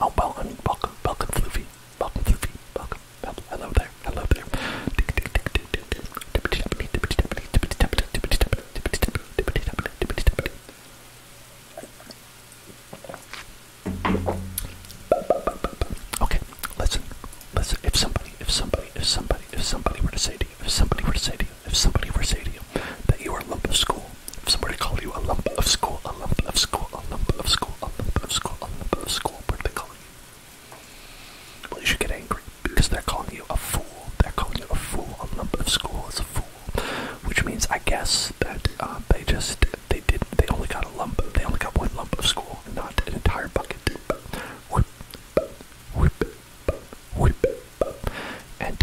[SPEAKER 1] Oh, well, I um, mean, welcome, welcome, Floofy. Welcome, Floofy. Welcome. Hello there. Hello there. Okay, listen, listen. If somebody, if somebody, if somebody, if somebody were to say to you, if somebody were to say to you, if somebody were to say to you that you were a lump of school, if somebody called you a lump of school, a lump of school, a lump of school, a lump of school, a lump of school, what do they call you? Well, you should get angry because they're calling you a fool. They're calling you a fool. A lump of school is a fool, which means I guess that uh, they just they did they only got a lump. They only got one lump of school, not an entire bucket. Whip, whip, whip, whip, and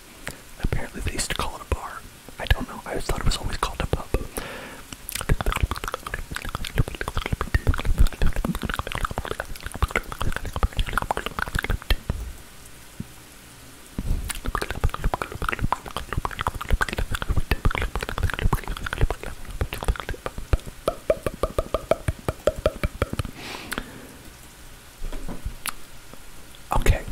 [SPEAKER 1] Apparently they used to call it a bar. I don't know. I thought it was always called a pub. Okay,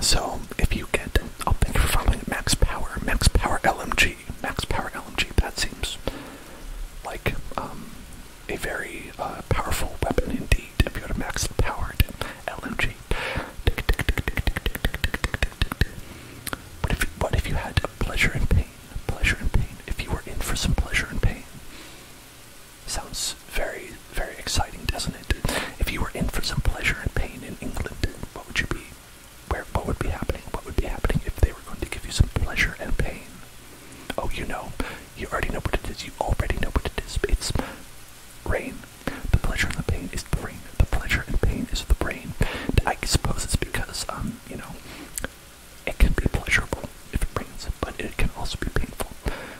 [SPEAKER 1] so if you get, I'll oh, thank you for following Max Power, Max Power LMG, Max Power LMG, that seems like um, a very uh, powerful weapon indeed. If you go a Max Powered LMG, what if, what if you had pleasure and pain? Pleasure and pain. If you were in for some pleasure and pain, Sounds very, very exciting, doesn't it? If you were in for some pleasure and pain in England, what would you be? Where? What would be happening? What would be happening if they were going to give you some pleasure and pain? Oh, you know, you already know what it is. You already know what it is. It's rain. The pleasure and the pain is the brain. The pleasure and pain is the brain. I suppose it's because, um, you know, it can be pleasurable if it rains, but it can also be painful.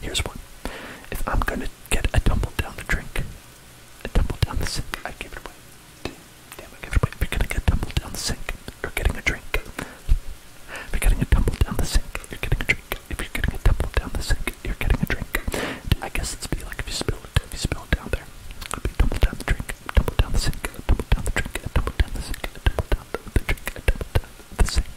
[SPEAKER 1] Here's one. If I'm gonna get a tumble down the drink, a tumble down the sink, I give it away. Damn, I give it away. If you're gonna get tumbled down the sink, you're getting a drink. If you're getting a tumble down the sink, you're getting a drink. If you're getting a tumble down the sink, you're getting a drink. I guess it's be like if you spill it, if you spill it down there, it could be tumble down the drink sink, double down the sink, double down the drink, double down the sink, double down the drink, double down the sink.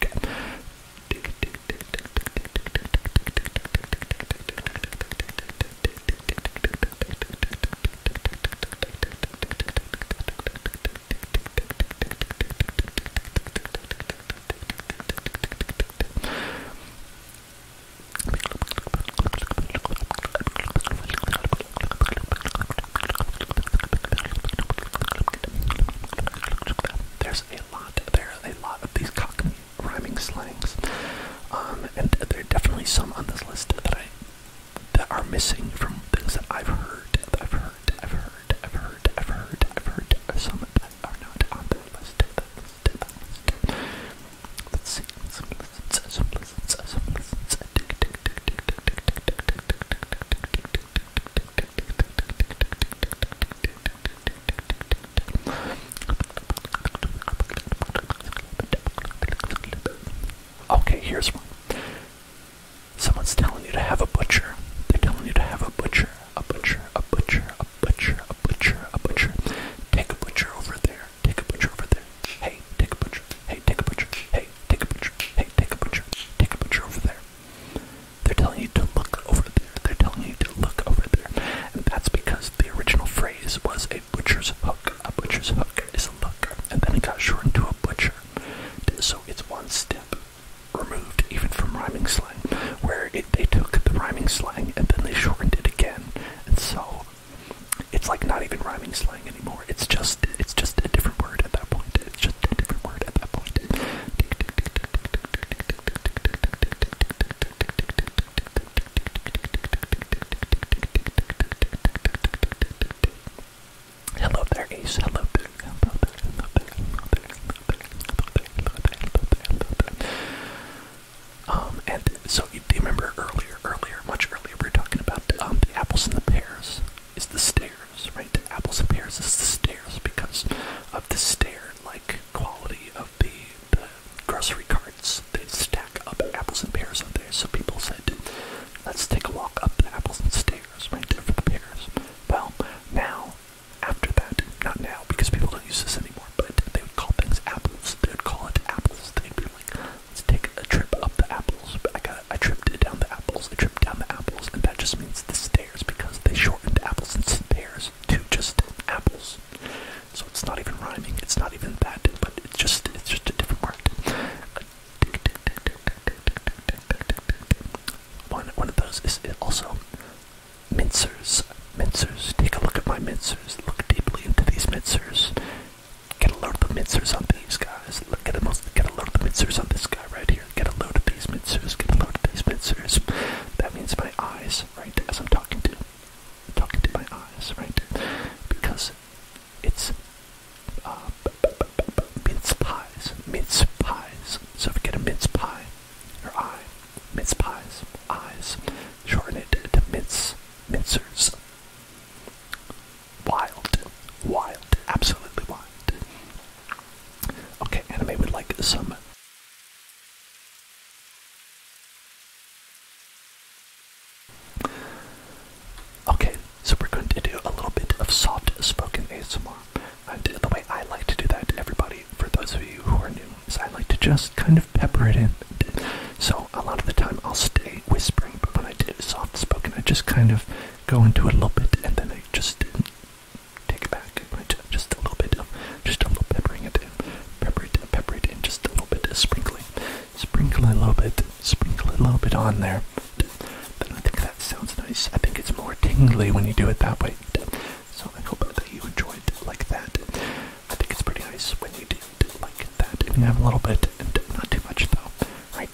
[SPEAKER 1] There's a lot there, a lot of these Cockney rhyming slangs, um, and there are definitely some on this list that I that are missing from things that I've heard, I've heard, i heard, i heard, i heard, i heard, or some that are not on that
[SPEAKER 2] list. Let's see. Okay, here's one. Someone's telling you to have a butcher.
[SPEAKER 1] They're telling you to have a butcher, a butcher, a butcher, a butcher, a butcher, a butcher. Take a butcher over there. Take a butcher over there. Hey, take a butcher. Hey, take a butcher. Hey, take a butcher. Hey, take a butcher. Take a picture over there. They're telling you to look over there. They're telling you to look over there. And that's because the original phrase was a butcher's hook. A butcher's hook is a look. And then it got shortened to a butcher. So it's one step removed even from rhyming slang, where they took the rhyming slang and then they shortened it again. And so it's like not even rhyming slang anymore. It's just it's just a different word at that point. It's just a different word at that point. Hello there, Ace. Hello there. Hello there. Hello there. Hello there. Hello there. Hello there. Um, and so you do remember earlier, earlier, much earlier, we were talking about um, the apples and the pears is the stairs, right? The apples and pears is the stairs because of the stair-like quality of the, the grocery carts. They stack up apples and pears up there, so people said, let's take a walk up the apples and stairs, right there for the pears. Well, now, after that, not now because people don't use this anymore, but they would call things apples. They would call it apples. They'd be like, Let's take a trip up the apples. I got I tripped down the apples. I tripped down the apples, and that just means the stairs because they shortened apples into stairs to just apples. So it's not even rhyming. It's not even that, but it's just it's just a different word. One one of those is also mincers. Mincers. Take a look at my mincers. Look deeply into these mincers. Get a load of the mincers on these guys. Get a, load of the mincers on this guy right here. Get a load of these mincers. Get a load of these mincers. That means my eyes, right, as I'm talking to. I'm talking to my eyes, right? Because it's uh, mince pies. Mince pies. So if you get a mince pie, your eye, mince pies, eyes, shorten it to mince, mincers wild, wild, absolutely wild. Okay, anime would like some. Okay, so we're going to do a little bit of soft spoken ASMR. And the way I like to do that, everybody, for those of you who are new, is I like to just kind of pepper it in. So a lot of the time I'll stay whispering, but when I do soft spoken, I just kind of go into it a little bit, and then I just take it back, just a little bit just a little peppering it in, pepper it, pepper it in, just a little bit of sprinkling, a little bit, sprinkle a little bit on there. Then I think that sounds nice. I think it's more tingly when you do it that way. So I hope that you enjoyed it like that. I think it's pretty nice when you do it like that, and you have a little bit, and not too much though, right?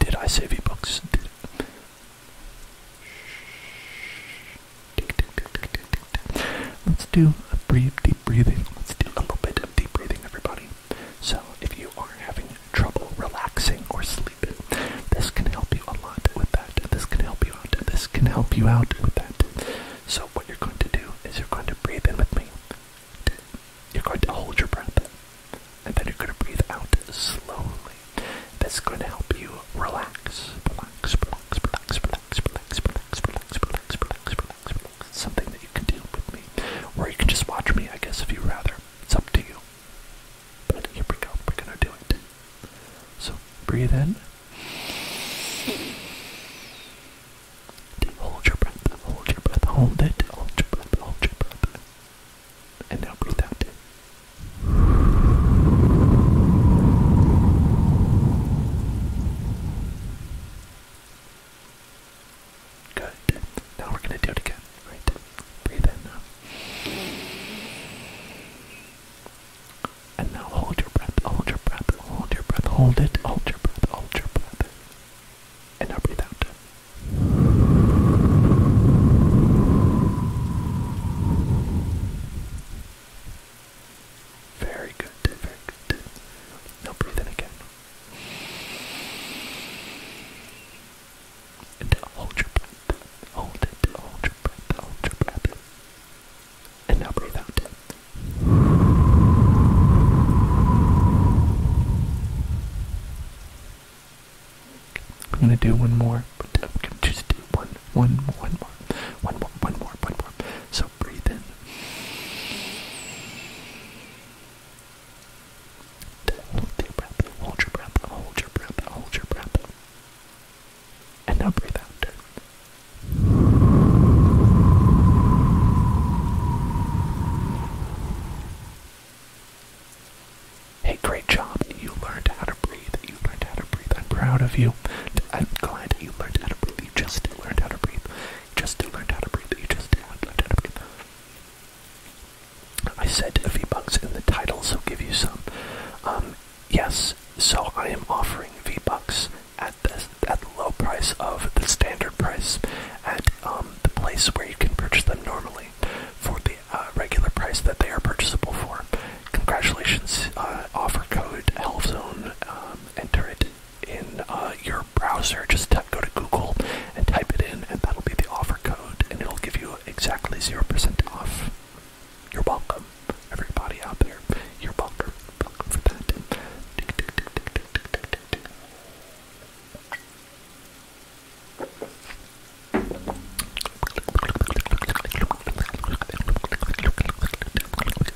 [SPEAKER 1] did I save you books? Did
[SPEAKER 2] Let's do a brief deep breathing. Let's do a little bit of deep breathing, everybody.
[SPEAKER 1] So, if you are having trouble relaxing or sleeping, this can help you a lot with that. This can help you out. This can help you out with that. So, what you're going to do is you're going to breathe in with me. You're going to hold your breath and then you're going to breathe out slowly. That's going to help you relax. Relax, something that you can do with me. Or you can just watch me, I guess, if you would rather. It's up to you. But here we go. We're going to do it. So breathe in. Hold your breath, hold your breath, hold it, hold your breath, hold your breath. And now breathe out. Good. Now we're gonna do it again. Right. Breathe in And now hold your breath, hold your breath, hold your breath, hold it, hold your breath, hold your breath.
[SPEAKER 2] And now breathe out. Very good, very good. Now breathe in again. And hold your breath. Hold it. Hold your breath. Hold your breath. And now breathe out. I'm gonna do one more, but I'm gonna just do one, one, one more, one more, one more, one more. So breathe in. Hold your breath, hold your breath, hold your breath, hold your breath. And
[SPEAKER 1] now breathe out. Hey, great job. You learned how to breathe. You learned how to breathe. I'm proud of you. I'm glad you learned how to breathe. You just learned how to breathe. just learned how to breathe. You just learned how to breathe. I said few bucks in the title, so give you some. Um, yes, so I am offering V-Bucks at the, at the low price of the standard price at um, the place where you can purchase them normally for the uh, regular price that they are purchasable for. Congratulations, uh, offer code HealthZone, um, enter it in uh, your browser, just go to Google and type it in and that'll be the offer code and it'll give you exactly 0% off. You're welcome, everybody out there. You're welcome, welcome for that.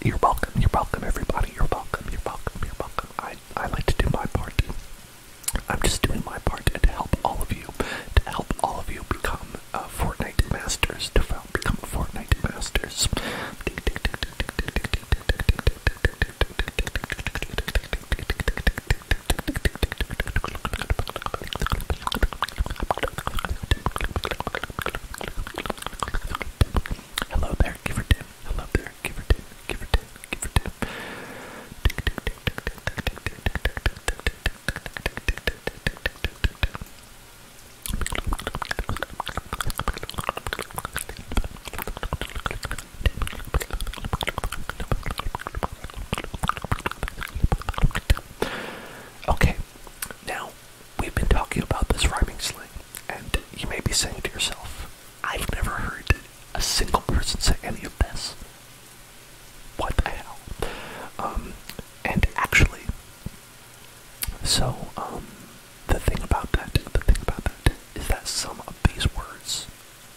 [SPEAKER 1] You're welcome, you're welcome everybody, you're welcome, you're welcome, you're welcome. I I like to do my part. I'm just doing my part to help all of you, to help all of you become a Fortnite masters, to become a Fortnite masters. Hello there, give her tip. Hello there, give her tip. Give her tip. Give her tip. Okay, now we've been talking about this rhyming slang, and you may be saying to yourself, I've never heard a single person say any of this. What the hell? Um, and actually, so, um, the thing about that, the thing about that is that some of these words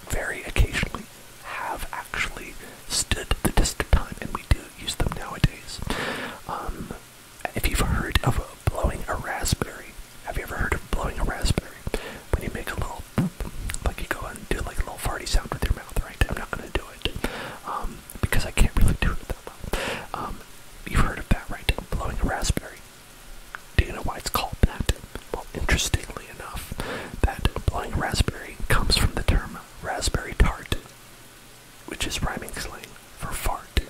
[SPEAKER 1] very occasionally have actually stood the test of time, and we do use them nowadays. Um, if you've heard of blowing a raspberry, have you ever heard of blowing a raspberry? When you make a little, like you go and do like a little farty sound with your mouth, right? I'm not gonna do it um, because I can't really do it that well. Um, you've heard of that, right? Blowing a raspberry. Do you know why it's called that? Well, interestingly enough, that blowing raspberry comes from the term raspberry tart, which is rhyming slang for fart.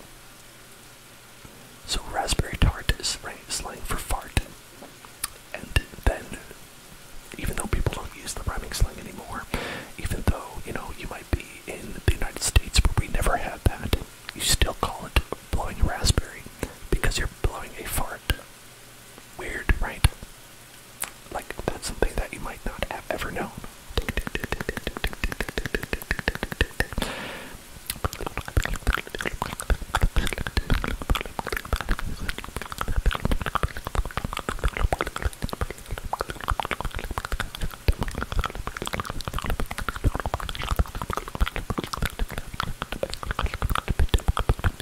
[SPEAKER 1] So raspberry tart is slang for fart. And then, even though people don't use the rhyming slang anymore, even though, you know, you might be in the United States where we never had that, you still call it blowing raspberry because you're blowing a fart. Weird, right? Like, that's something that you might not have ever known.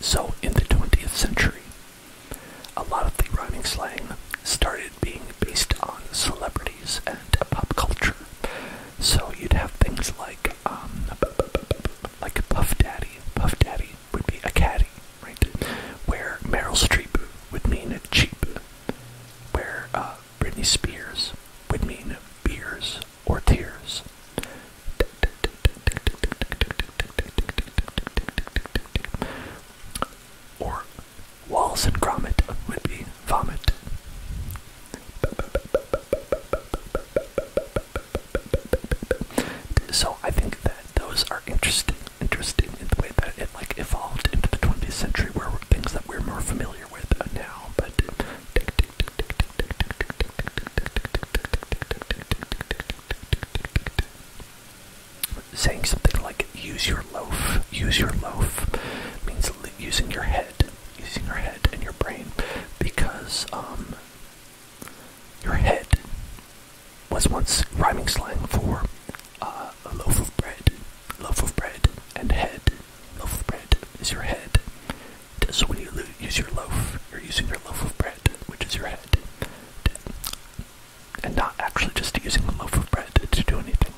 [SPEAKER 1] So, in the 20th century, a lot of the rhyming slang started being based on celebrities and pop culture. So you'd have things like, um, like Puff Daddy. Puff Daddy would be a caddy, right? Where Meryl Streep would mean a cheap. Where uh, Britney Spears would mean beers or tears. Or walls and grommet would be vomit. So I think that those are interesting, interesting in it like evolved into the 20th century, where things that we're more familiar with now. But
[SPEAKER 2] saying something like "use your loaf," "use your loaf" means using your head using your head and your brain because
[SPEAKER 1] um, your head was once rhyming slang for uh, a loaf of bread, loaf of bread, and head. Loaf of bread is your head. So when you use your loaf, you're using your loaf of bread, which is your head, and not actually just using a loaf of bread to do anything.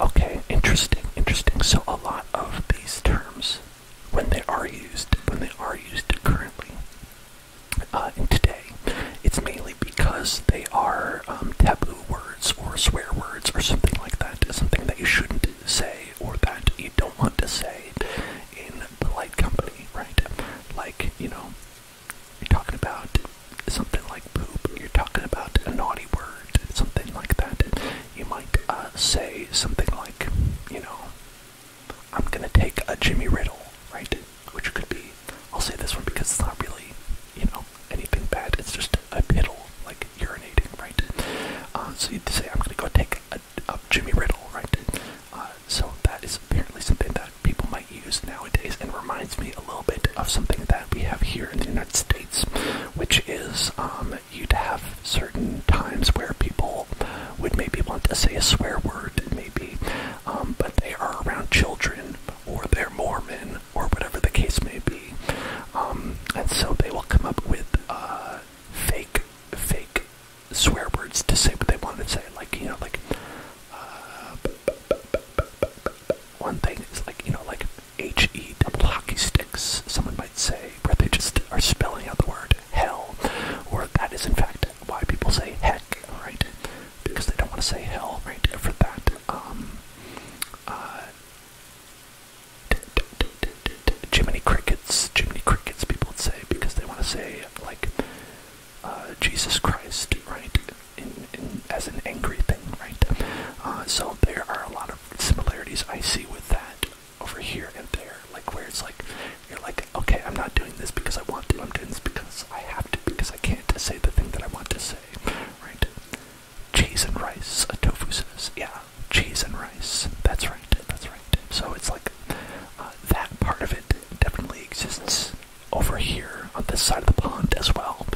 [SPEAKER 1] Okay, interesting, interesting. So, a lot of these terms when they are used, when they are used currently. Uh, and today, it's mainly because they are um, taboo words or swear words or something like that, something that you shouldn't say or that you don't want to say in polite company, right? Like, you know, you're talking about something like poop, you're talking about a naughty word, something like that you might uh, say something like, you know, I'm gonna take a Jimmy Riddle, right? Which could be, I'll say this one because it's not really, you know, anything bad. It's just a little, like urinating, right? Uh, so you'd say, I'm gonna go take a, Jimmy Riddle, right? Uh, so that is apparently something that people might use nowadays and reminds me a little bit of something that we have here in the United States, which is um, you'd have certain times where people would maybe want to say a swear word, maybe, um, but they are around children or they're Mormon or whatever the case may be, um, and so they will come up with uh, fake, fake swear words to say what they want to say, like you know, like. Uh, one thing is like you know, like H E double hockey sticks. Someone might say, where they just are spelling out the word hell, or that is in fact why people say heck, right? Because they don't want to say hell, right? For that, um, uh, Jiminy Crickets, Jiminy Crickets, people would say, because they want to say, like, uh, Jesus Christ, right? as an angry thing, right? Uh, so there are a lot of similarities I see with that over here and there. Like where it's like you're like, okay, I'm not doing this because I want to. I'm doing this because I have to. Because I can't say the thing that I want to say, right? Cheese and rice. A tofu says, yeah, cheese and rice. That's right. That's right. So it's like uh, that part of it definitely exists over here on this side of the pond as well.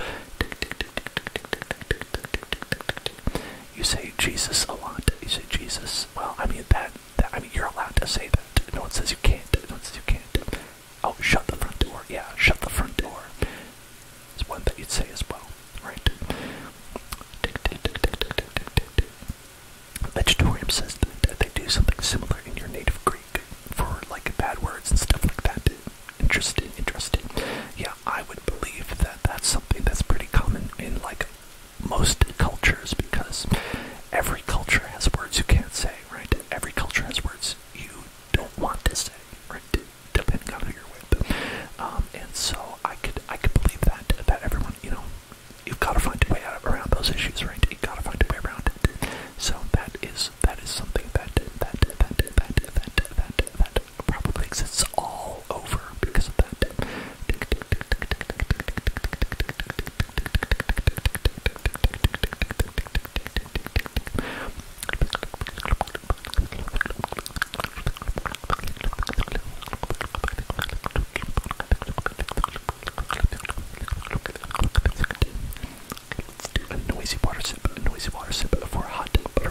[SPEAKER 1] You say Jesus a lot. You say Jesus is well I mean that, that I mean you're allowed to say that. No one says you can't. No one says you can't. Oh shut the front door. Yeah, shut the front door. It's one that you'd say as well, right? Vegetarian says that they do something similar in your native Greek for like bad words and stuff like that. Interesting, interesting. Yeah, I would believe that that's something that's pretty common in like most cultures because every culture has words you can't say, right? Every culture has words you don't want to say, right? Depending on who you're with, um, and so I could I could believe that that everyone, you know, you've got to find a way out around those issues, right? You got to find a way around it. So that is that is something that that that that that that, that probably exists all over because of that. Let's do a noisy water sip, a noisy water sip for hot butter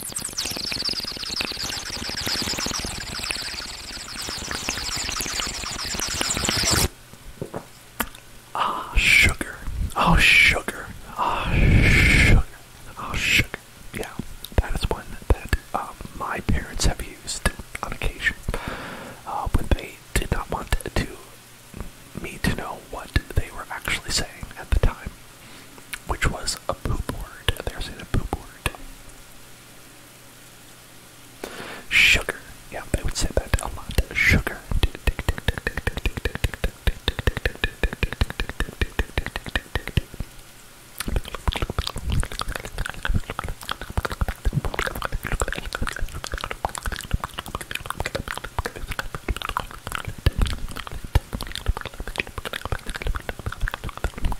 [SPEAKER 1] Ah, sugar. Oh, sugar. Ah, sugar. Oh, sugar. Yeah, that is one that um, my parents have used on occasion uh, when they did not want to me to know what they were actually saying at the time which was a boo word. There's a boo word. Sugar. Yeah, I would say that a lot. Sugar.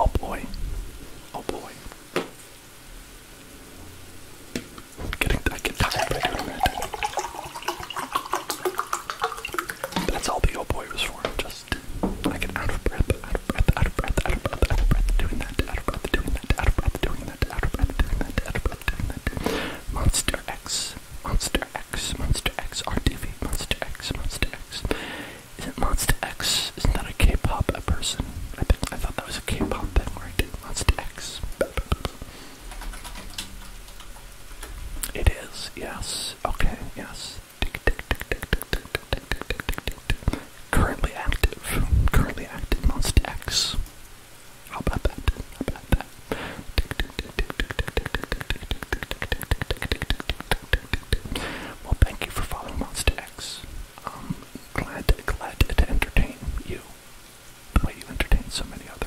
[SPEAKER 1] Oh boy. Oh boy. I'm getting I get tired by doing that. That's all the oh boy was for. Just I get out of breath out of breath, out of breath, out of breath, out of breath, doing that, out of breath, doing that, out of breath, doing that, out of breath, doing that, out of breath, doing that. Monster X, Monster X, Monster X, RTV, Monster X, Monster X. Isn't Monster X, isn't that a K-pop person? I, think, I thought that was a K-pop thing, right? Monster X. It is, yes. Okay, yes. Tick, tick, tick, tick, tick, tick, tick, tick, tick, tick, tick, tick. Currently active. Currently active on Stacks. How about that? How about that? Well, thank you for following Monster X. Um, glad, glad to entertain you the way you entertain so many others.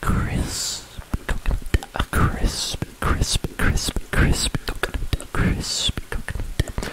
[SPEAKER 1] Crisp, a crisp, crisp, crisp, crisp, coconut, crisp, coconut,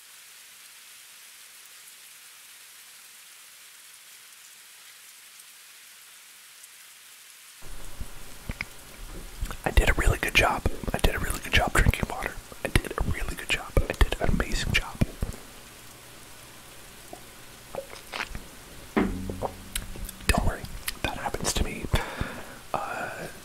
[SPEAKER 1] I did a really good job. I did a really good job drinking water. I did a really good job. I did an amazing job. Don't worry, that happens to me. Uh,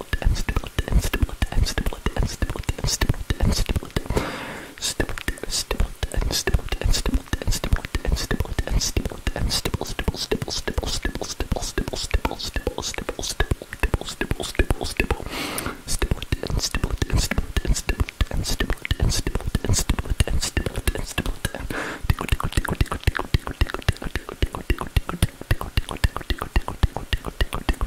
[SPEAKER 1] stability and stability and stability and stability and stability and stability and stability stability and stability and stability and stability and stability and stability and stability and stable stable stable stable stable stable stable stable stable stable stable stable stable stable stability and stability and stability and stability and stability and stability and stability and stability and stability and stability and stability and stability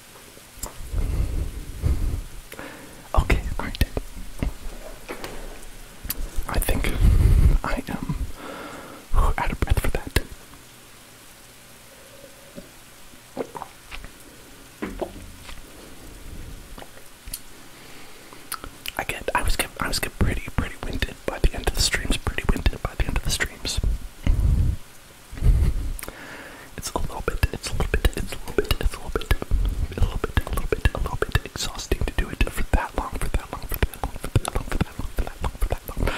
[SPEAKER 1] Okay, great. I think I am out of breath for that. I get. I was get. I was get pretty, pretty winded by the end of the streams. Pretty winded by the end of the streams. It's a little bit, it's a little bit, it's a little bit, it's a little bit, a little bit, a little bit, a little bit exhausting to do it for that long, for that long, for that long, for that long, for that long, for that long, for that long.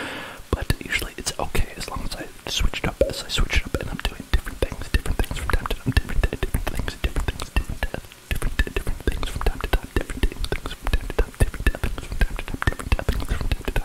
[SPEAKER 1] But usually it's okay as long as I switch it up, as I switch it up and I'm doing different things, different things from time to time, different different things, different things, different different different things from time to time, different things from time to time, different things from time to time, different things from time to time, different things from time to time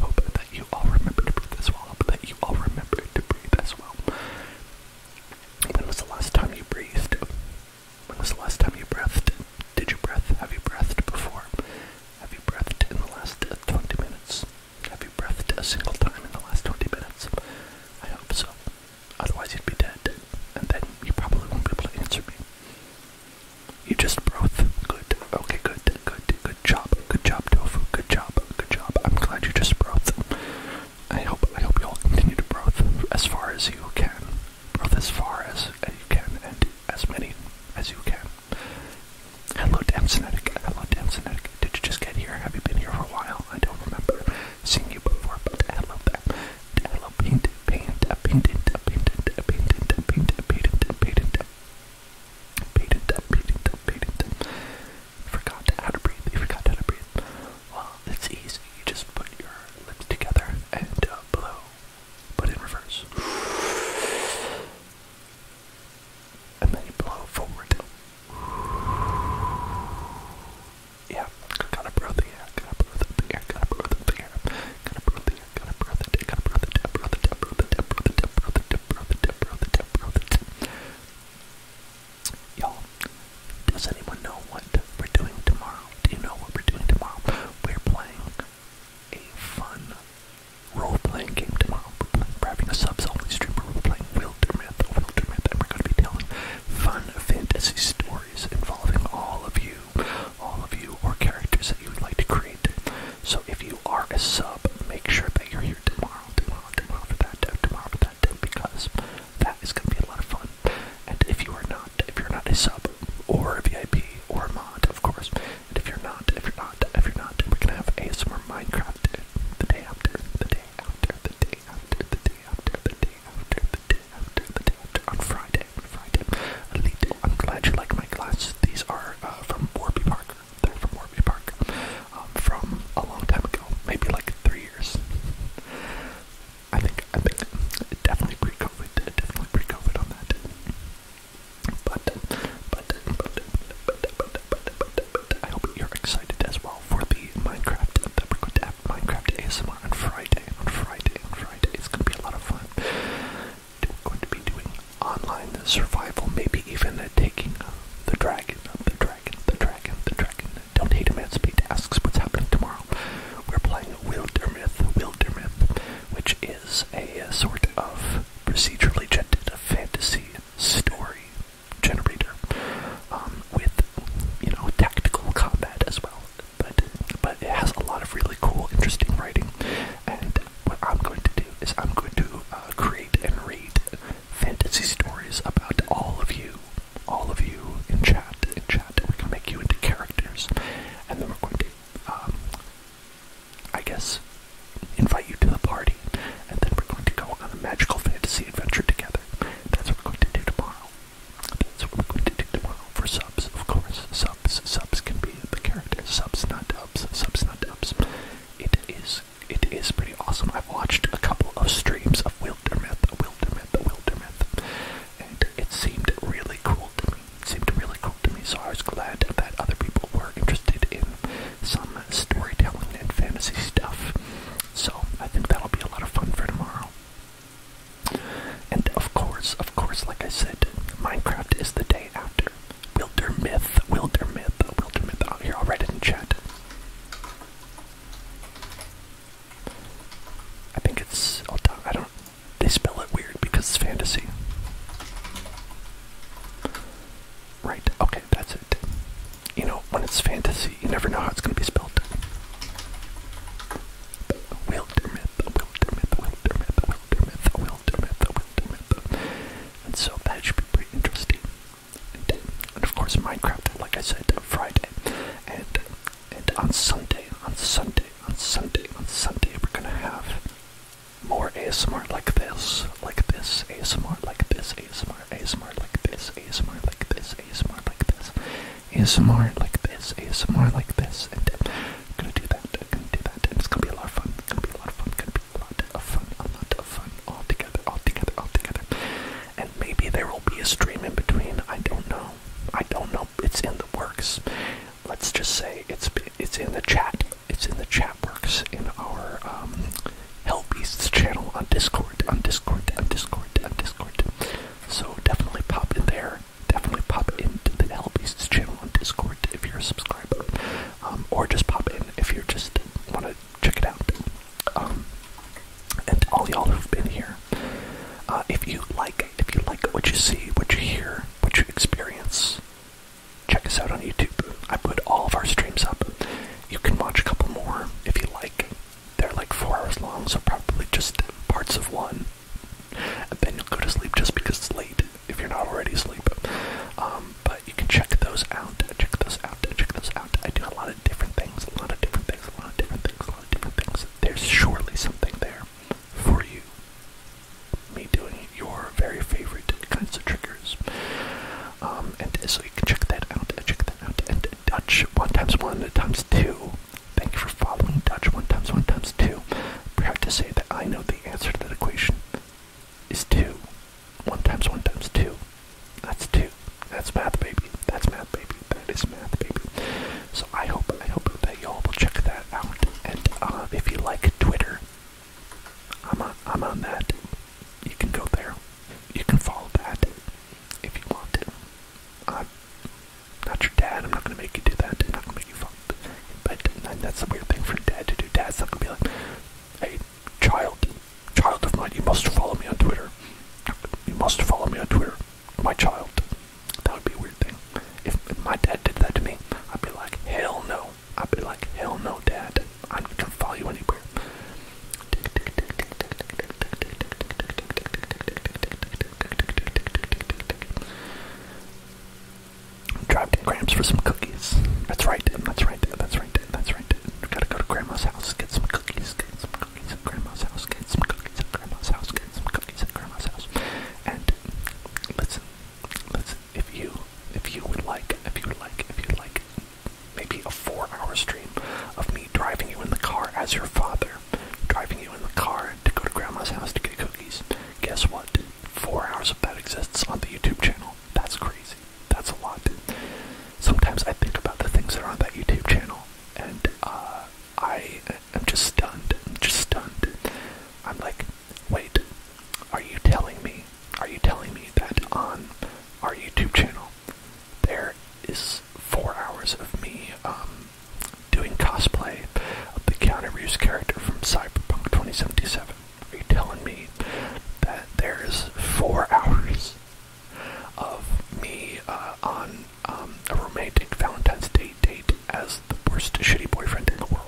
[SPEAKER 1] Hope that you all remember to breathe as well. Hope that you all remember to breathe as well. When was the last time you breathed? When was the last time you breathed? Did you breath? Have you breathed before? Have you breathed in the last 20 minutes? Have you breathed a single time in the last 20 minutes? I hope so. Otherwise, you'd be dead, and then you probably won't be able to answer me. You just broathe. Good. Okay, Good. good. Good. Good job, good job, tofu. Good job, good job. I'm glad you just broth. I hope I hope you all continue to broth as far as you can. Broth as far as you can and as many as you can. Hello, damn Hello, damn Did you just get here? Have you been here for a while? I don't remember seeing you before, but I love Hello, paint, paint, paint,
[SPEAKER 2] forgot how to breathe, you forgot how to breathe, well, it's
[SPEAKER 1] easy. You just put your lips together and blow, but in reverse. And then you blow forward. Yeah, gotta breathe the air, gotta breathe the air, gotta breathe the air, gotta breathe the air, gotta breathe the air, gotta breathe the air, breathe the air, the air, breathe the air, the air, breathe the air, the air, Y'all, does anyone know what we're doing tomorrow? Do you know what we're doing tomorrow? We're playing a fun role-playing game tomorrow. We're, playing, we're having a subs-only stream we're playing Wildermyth, Wildermyth, and we're going to be telling fun fantasy stories involving all of you, all of you, or characters that you would like to create. So if you are a sub, make sure that you're here tomorrow tomorrow, tomorrow for that, dev, tomorrow for that, dev, because that is going to be a lot of fun. And if you are not, if you're not a sub or a VIP or a mod, of course, and if you're not, if you're not, if you're not, we're going to have ASMR Minecraft the day after, the day after, the day after, the day after, the day after, the day after, the day after, on Friday, on Friday. Elite, I'm glad you like my glasses. These are uh, from Warby Parker from Warby Park. Um, from a long time ago, maybe like three years. I think, I think, definitely pre-COVID, definitely pre-COVID on that. But, but, but, but, but, but, but, but, I hope you're excited as well for the Minecraft, that we're going to have Minecraft ASMR on Friday, on Friday, on Friday. It's going to be a lot of fun. We're going to be doing online survival, maybe even uh, taking uh, the dragon, uh, the dragon the dragon, the dragon. Don't hate him, Speed asks what's happening tomorrow. We're playing a Wilder Myth, which is a sort of procedurally generated fantasy story generator um, with, you know, tactical combat as well. But, but it has a lot of really cool, interesting writing. And what I'm going to do is I'm going to uh, create and read fantasy stories about all of you, all of you in chat, in chat. We're gonna make you into characters, and then we're going to, um, I guess, invite you to the party, and then we're going to go on a magical fantasy adventure together. That's what we're going to do tomorrow. That's what we're going to do tomorrow for subs, of course. Subs, subs can be the character. Subs, not dubs. Subs, not dubs. It is it is pretty awesome. I've watched a couple of streams of Wildermyth, Wildermyth, Wildermyth, and it seemed really cool to me. seemed really cool to me, so I was glad that other people were interested in some storytelling and fantasy stuff. So I think that'll be a lot of fun for tomorrow. And of course, of course, like I said, Minecraft is the day after. Wilder Myth, Wilder Oh, here, I'll write it in chat. I think it's. i don't. They spell it weird because it's fantasy. Right, okay, that's it. You know, when it's fantasy, you never know how it's going to be spelled. Wildermyth, Wildermyth, Wildermyth, Wildermyth, Wildermyth, Wildermyth. And so that should be pretty interesting and of course Minecraft, like I said, Friday, and and on Sunday, on Sunday, on Sunday, on Sunday, we're gonna have more ASMR like this, like this, ASMR like this, ASMR, ASMR like this, ASMR like this, ASMR like this, ASMR like this, ASMR like this, and gonna do that, gonna do that, it's gonna be a lot of fun, it's gonna be a lot of fun, a lot of fun, a lot of fun, all together, all together, all together. And maybe there will be a stream in between. I don't know. I don't know. It's in the works. Let's just say it's it's in the chat. It's in the chat works in our um, Hellbeasts channel on Discord, on Discord, on Discord, on Discord. So definitely pop in there. Definitely pop into the Hellbeasts channel on Discord if you're a subscriber, um, or just pop in if you just want to check it out. Um, and all y'all who've been here, uh, if you like, if you like what you see, what you hear, what you experience, check us out on YouTube. I put all of our streams up. You can watch a couple more if you like. They're like four hours long, so probably just parts of one. And then you'll go to sleep just because it's late if you're not already asleep. Um, but you can check those out, check those out, check those out. I do a lot of different things, a lot of different things, a lot of different things, a lot of different things. There's surely something there for you. Me doing your very favorite kinds of triggers. Um, and so you can check that out, check that out. Dutch one times one times two. Thank you for following Dutch one times one times two. Proud to say that I know the answer to that equation is two. 1 times 1 times 2. That's 2. That's math, baby. That's math, baby.
[SPEAKER 2] That is math, baby. So I hope, I hope that y'all will check that out. And uh, if you like Twitter, I'm on, I'm on that. You can go
[SPEAKER 1] there. You can follow that if you want to. I'm not your dad. I'm not gonna make you do that. I'm not gonna make you follow. But that's a weird thing for dad to do. Dad's not gonna be like, "Hey, child, child of mine, you must follow me on Twitter. You must follow me on Twitter, my child. That would be a weird thing. If, my dad did that to me, I'd be like, hell no. I'd be like, hell no, dad. I'm not gonna follow you anywhere. Dropped grams for some cookies. That's right. That's right. That's right right, that's right. We gotta go to grandma's house, get some cookies, get some cookies grandma's house, get some cookies grandma's house, get some cookies at grandma's house. And listen, listen, if you if you would like, if you like, if you like maybe a four hour stream of me driving you in the car as your father, driving you in the car to go to grandma's house to get cookies, guess what? Four hours of that exists on the YouTube channel. That's crazy. That's a lot. Sometimes I think about the things that are on that YouTube channel, and uh, I am just stunned. I'm just stunned. I'm like, wait, are you telling me? Are you telling me that on our YouTube channel there is four hours of me um, doing cosplay of the counter Reeves character from Cyberpunk 2077? Are you telling me that there is four hours of me uh, on um, a romantic Valentine's Day date as the worst shitty boyfriend in the world.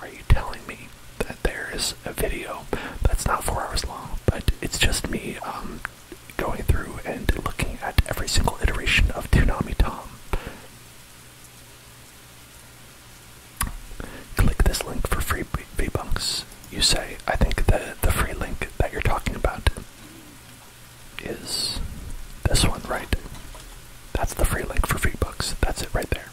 [SPEAKER 1] Are you telling me that there is a video that's not four hours long, but it's just me um, going through and looking at every single iteration of Toonami Tom? Click this link for free bunks you say, I think the, the free link that you're talking about is this one, right? That's the free link for free books. That's it right there.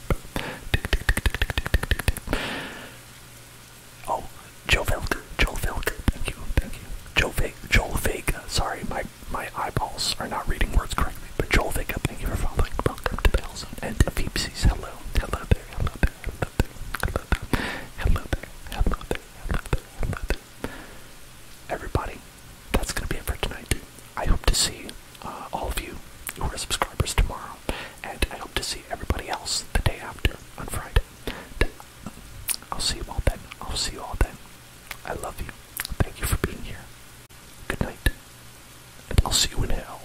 [SPEAKER 1] Oh, Joe Vilker. Joe Vilker. Thank you. Thank you. Joe Vega. Joel Vega. Sorry, my, my eyeballs are not reading words correctly. But Joel Vega, thank you for following. Welcome to Bells and Phoebe's. Hello. Hello there. Hello there. Hello there. Hello there. Hello there, hello there, hello there, hello there. Everybody, that's going to be it for tonight. I hope to see uh, all of you who are subscribers tomorrow, and I hope to see everybody else the day after on Friday. I'll see you all then. I'll see you all then. I love you. Thank you for being here. Good night, and I'll see you in hell.